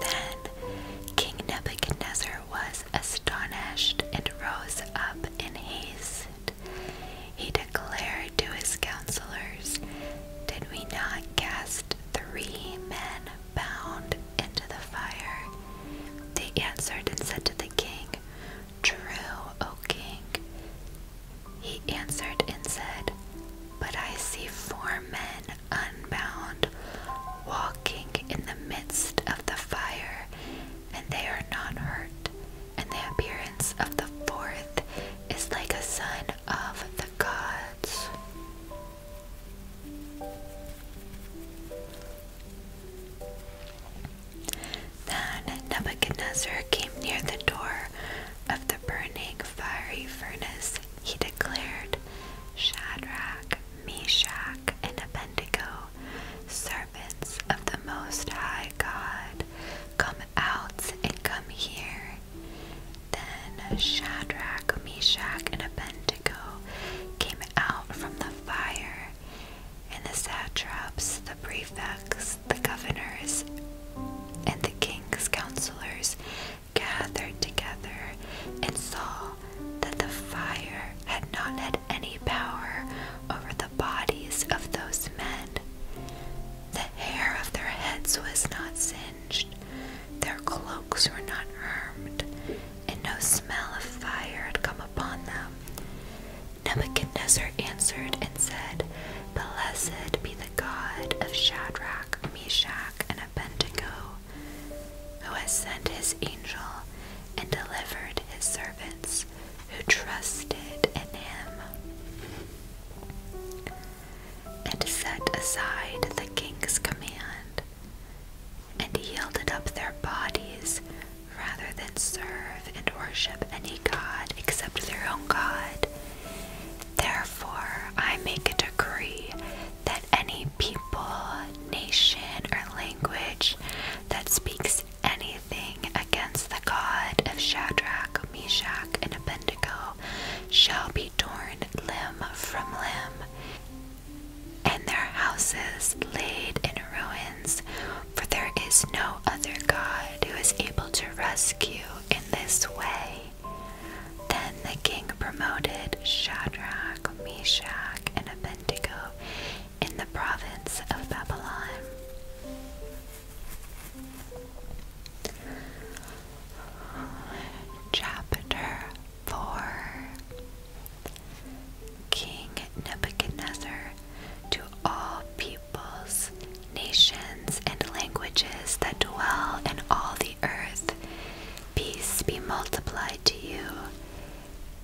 Then King Nebuchadnezzar was astonished and rose up in haste. He declared to his counselors, Did we not cast three men bound into the fire? They answered and said to the king, True, O king. He answered and said, But I see four men unbound, walking in the midst of the fire, and they are not hurt. And the appearance of the fourth is like a son of the gods. Then Nebuchadnezzar came near the door of the burning fiery furnace. He declared, Shadrach, Meshach, and Abednego, servants of the Most High God, come out and come here. Then Shadrach, Meshach, and Abednego came out from the fire and the satraps, the prefects, the governors, and the king's counselors gathered together and saw that the fire had not had any power over the bodies of those men. The hair of their heads was not singed, their cloaks were not harmed, and no smell of fire had come upon them. Nebuchadnezzar answered and said, Blessed be the God of Shadrach, Meshach, and Abednego, who has sent his angel and delivered his servants who trusted in him, and set aside the king's command, and yielded up their bodies rather than serve and worship any god except their own God. Therefore, I make a decree that any people, nation, or language that speaks anything against the God of Shadrach, Meshach, and Abednego shall be torn limb from limb, and their houses laid in ruins for there is no other God who is able to rescue in this way. Then the king promoted Shadrach, Meshach, and Abednego in the province of Babylon. Chapter 4 King Nebuchadnezzar to all peoples, nations, and languages that dwell in all the earth. Peace be multiplied to you.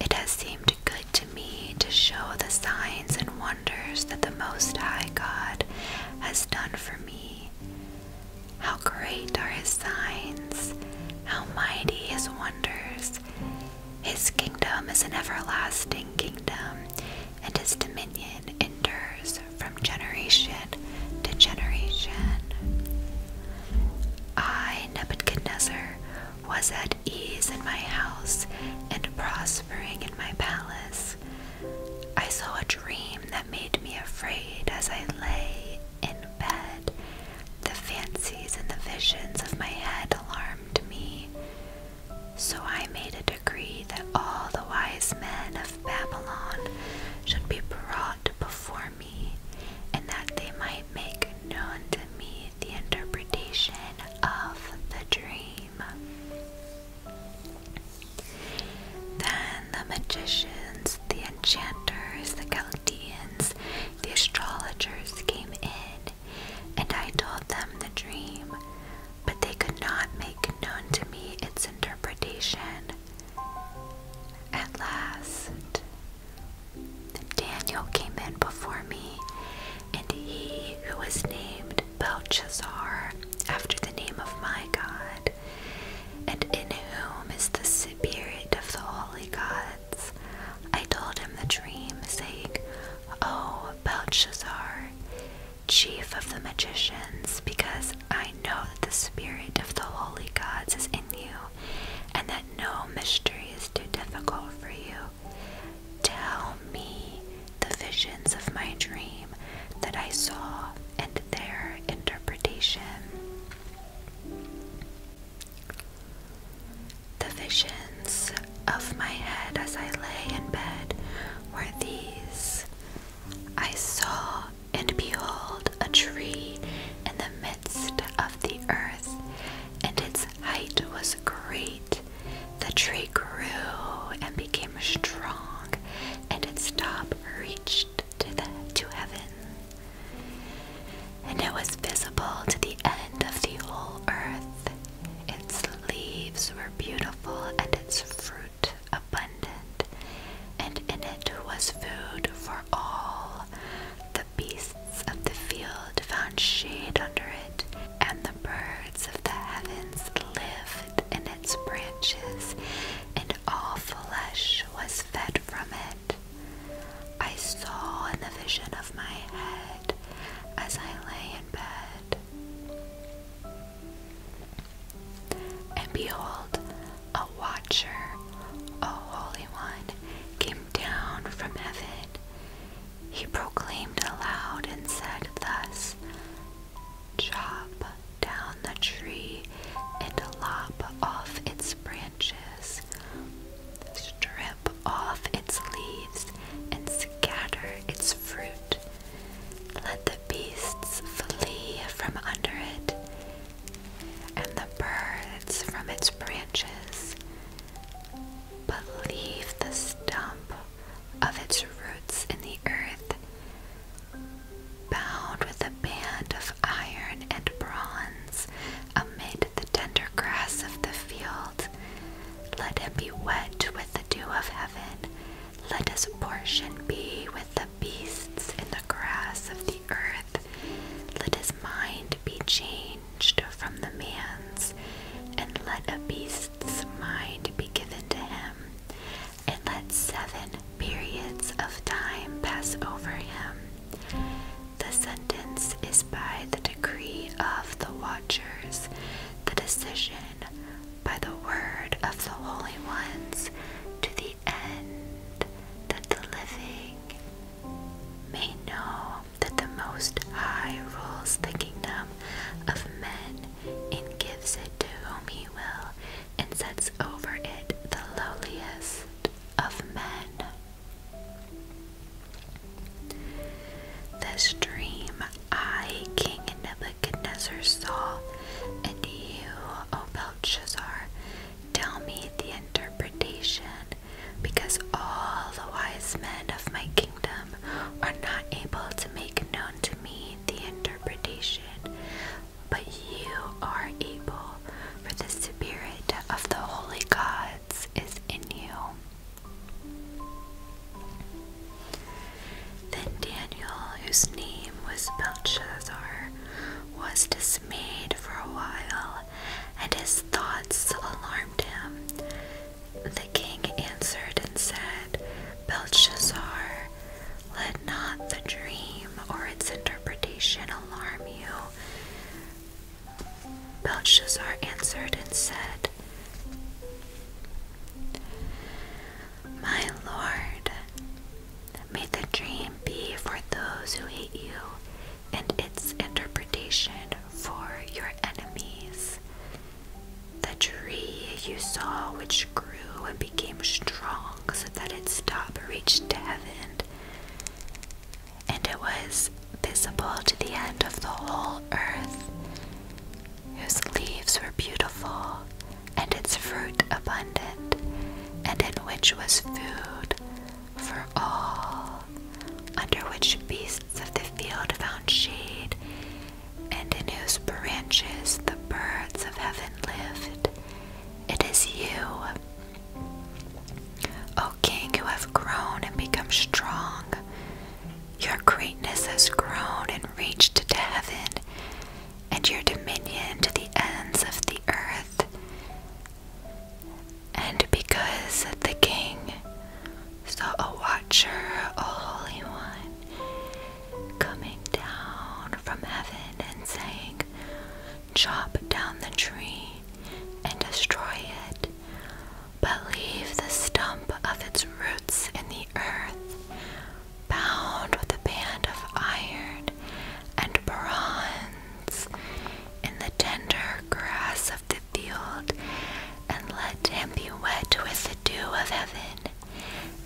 It has seemed good to me to show the signs and wonders that the Most High God has done for me. How great are his signs, how mighty his wonders. His kingdom is an everlasting kingdom, and his dominion endures from generation to generation. I, Nebuchadnezzar, was at ease in my house and prospering in my palace. I saw a dream that made me afraid as I lay in bed. The fancies and the visions of my head alarmed me. So I made a that all the wise men of Babylon should be brought before me, and that they might make known to me the interpretation of the dream. Then the magicians, the enchanters, the Chaldeans, the astrologers came in and I told them the dream, but they could not make known to me its interpretation. At last, Daniel came in before me, and he who was named Belshazzar, after the name of my God, and in whom is the spirit of the holy gods, I told him the dream, saying, O oh, Belshazzar, chief of the magicians, because I know that the spirit of the holy gods is in you, and that no mystery is too difficult for you. Tell me the visions of my dream that I saw and their interpretation. The visions of my head as I lay in bed were these I saw and behold a tree in the midst of the earth, and its height was great. The tree grew and became strong, and its top reached to, the, to heaven. And it was visible to the end of the whole earth. Its leaves were beautiful and its fruit abundant, and in it was food for all. The beasts of the field found shade under it, and the birds of the heavens lived in its branches, and all flesh was fed from it. I saw in the vision of my head as I lay in bed and behold, a watcher, a holy one, came down from heaven. He proclaimed aloud and said thus Chop down the tree and lop off its branches, strip off its leaves and scatter its fruit. Let the beasts flee from under it, and the birds from its branches. But leave the stump of its roots in the earth, bound with a band of iron and bronze amid the tender grass of the field. Let him be wet with dew of heaven, let his portion be with the beasts in the grass of the earth. Let his mind be changed from the man's, and let a beast's mind be given to him, and let seven periods of time pass over him. The sentence is by the decree of the watchers, the decision by the word of the holy ones to the end that the living may know that the Most High rules the kingdom of men and gives it to whom he will and sets over it the lowliest of men. This dream I, King Nebuchadnezzar, saw, and you, O Belshazzar, tell me the interpretation, because all the wise men of my kingdom are not able to make known to me the interpretation, but you are able, for the Spirit of the holy gods is in you. Then Daniel, whose name was Belshazzar, was dismayed for a while, and his thoughts alarmed him. The king answered and said, Belshazzar, let not the dream or its interpretation alarm you. Belshazzar answered and said, my Lord, may the dream be for those who hate you, and its interpretation for your enemies. The tree you saw, which grew and became strong so that its top reached to heaven, and it was visible to the end of the whole earth whose leaves were beautiful, and its fruit abundant, and in which was food for all, under which beasts of the field found shade, and in whose branches the birds of heaven lived. It is you, O king, who have grown and become strong. Your greatness has grown and reached to heaven, and your dominion to the ends of the earth. And because the king saw a watcher, a holy one, coming down from heaven and saying, Chop down the tree and destroy it, but leave the stump of its roots in the earth, bound with a band of iron and bronze in the tender grass of the field, and let him be wet with the dew of heaven,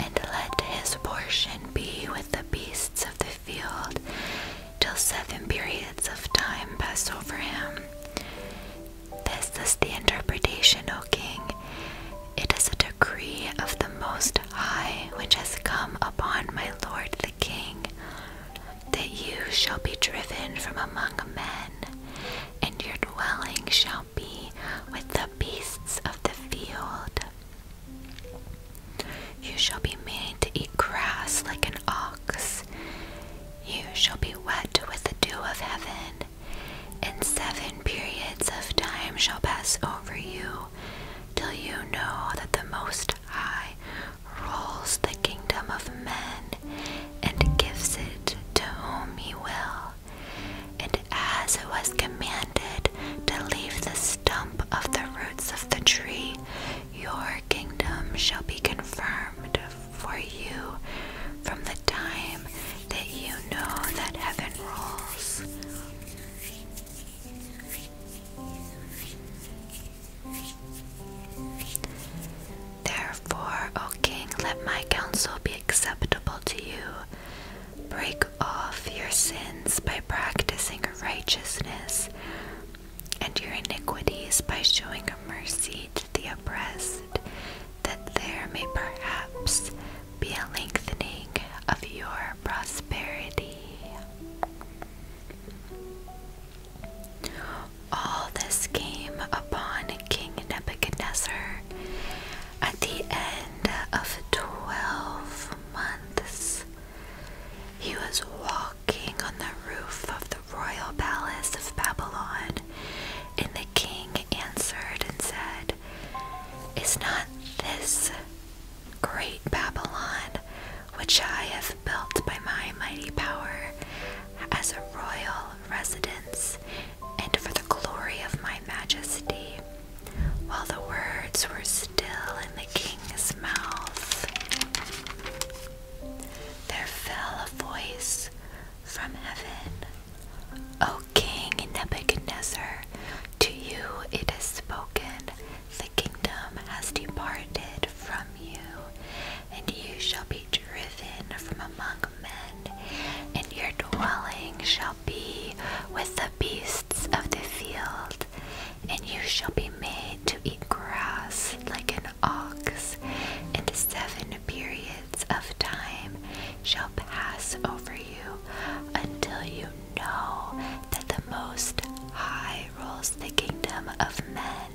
and let his portion be with the beasts of the field till seven periods of time pass over him. This is the interpretation, O king. It is a decree of the Most High which has come upon my lord the king, that you shall be driven from among men, and your dwelling shall be with the beasts of the field. You shall be made to eat grass like an ox. You shall be wet with the dew of heaven, and seven periods of time shall pass over you, till you know that the Most High rules the kingdom of men and gives it to whom he will. And as it was commanded to leave the stump of the roots of the tree, your kingdom shall be confirmed for you from the time that you know that heaven rules. Therefore, O King, let my counsel be acceptable to you. Break off your sins by practicing righteousness, and your iniquities by showing mercy to the oppressed, that there may perhaps be a lengthening of your prosperity. All this came upon King Nebuchadnezzar at the end of twelve months. He was walking on the roof of the royal palace of Babylon, and the king answered and said, Is not this great Babylon, which I have built by my mighty power, as a royal residence, and for the glory of my majesty? While the words were still in the king's mouth, there fell a voice from heaven. O King Nebuchadnezzar, to you it is spoken, the kingdom has departed from you, and you shall be driven from among men, and your dwelling shall be with the beasts of the field, and you shall be made to eat grass like an ox, and seven periods of time shall pass over you until you know that the Most High rules the kingdom of men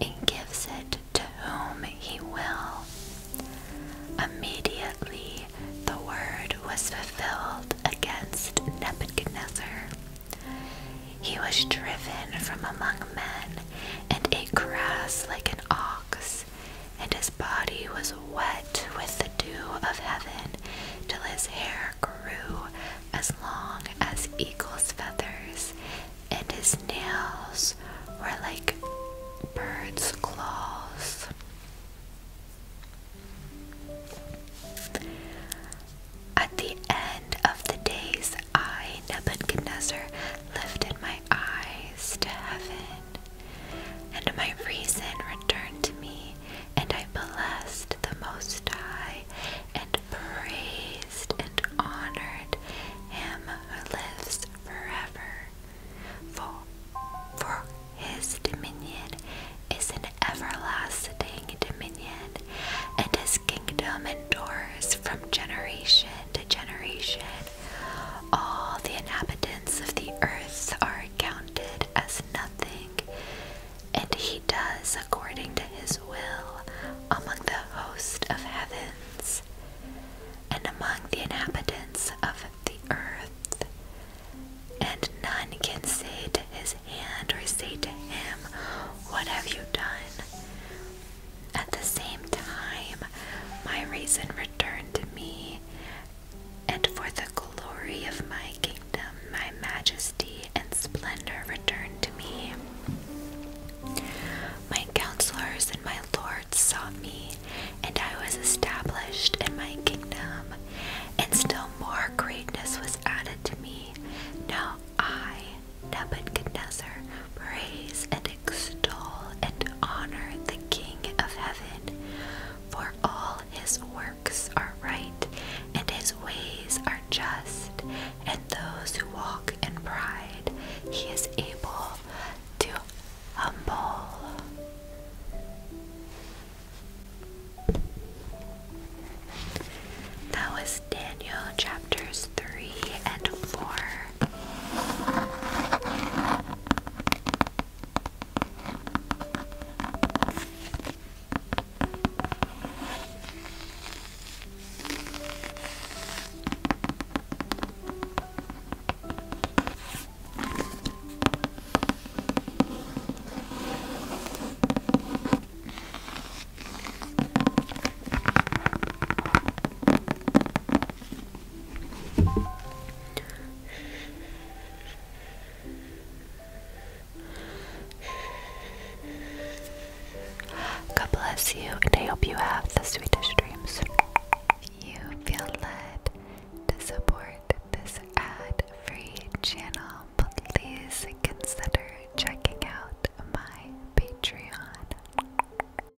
and gives it to whom he will. Immediately the word was fulfilled against Nebuchadnezzar. He was driven from among men, and ate grass like an ox and his body was wet with the dew of heaven till his hair grew as long as eagle's feathers, and his nails were like birds' claws. At the end of the days, I, Nebuchadnezzar, lifted my eyes to heaven, and my reason returned to me, and I blessed the Most High, and praised and honored Him who lives forever. For, for His dominion is an everlasting dominion, and His kingdom endures from generation to generation. All the inhabitants of the earth are counted as nothing, and he does according to his will among the host of heavens and among the inhabitants of the earth. And none can say to his hand or say to him, What have you done? At the same time, my reason returned to me, and for the glory of my kingdom, my majesty and splendor returned to me. My counselors and my lords sought me, and I was established in my kingdom, and still more greatness was added to me. Now I, Nebuchadnezzar, Praise and extol and honor the King of heaven, for all his works are right, and his ways are just, and those who walk in pride he is able to humble. That was Daniel chapter three and four. God bless you, and I hope you have the sweetest dreams. If you feel led to support this ad free channel, please consider checking out my Patreon.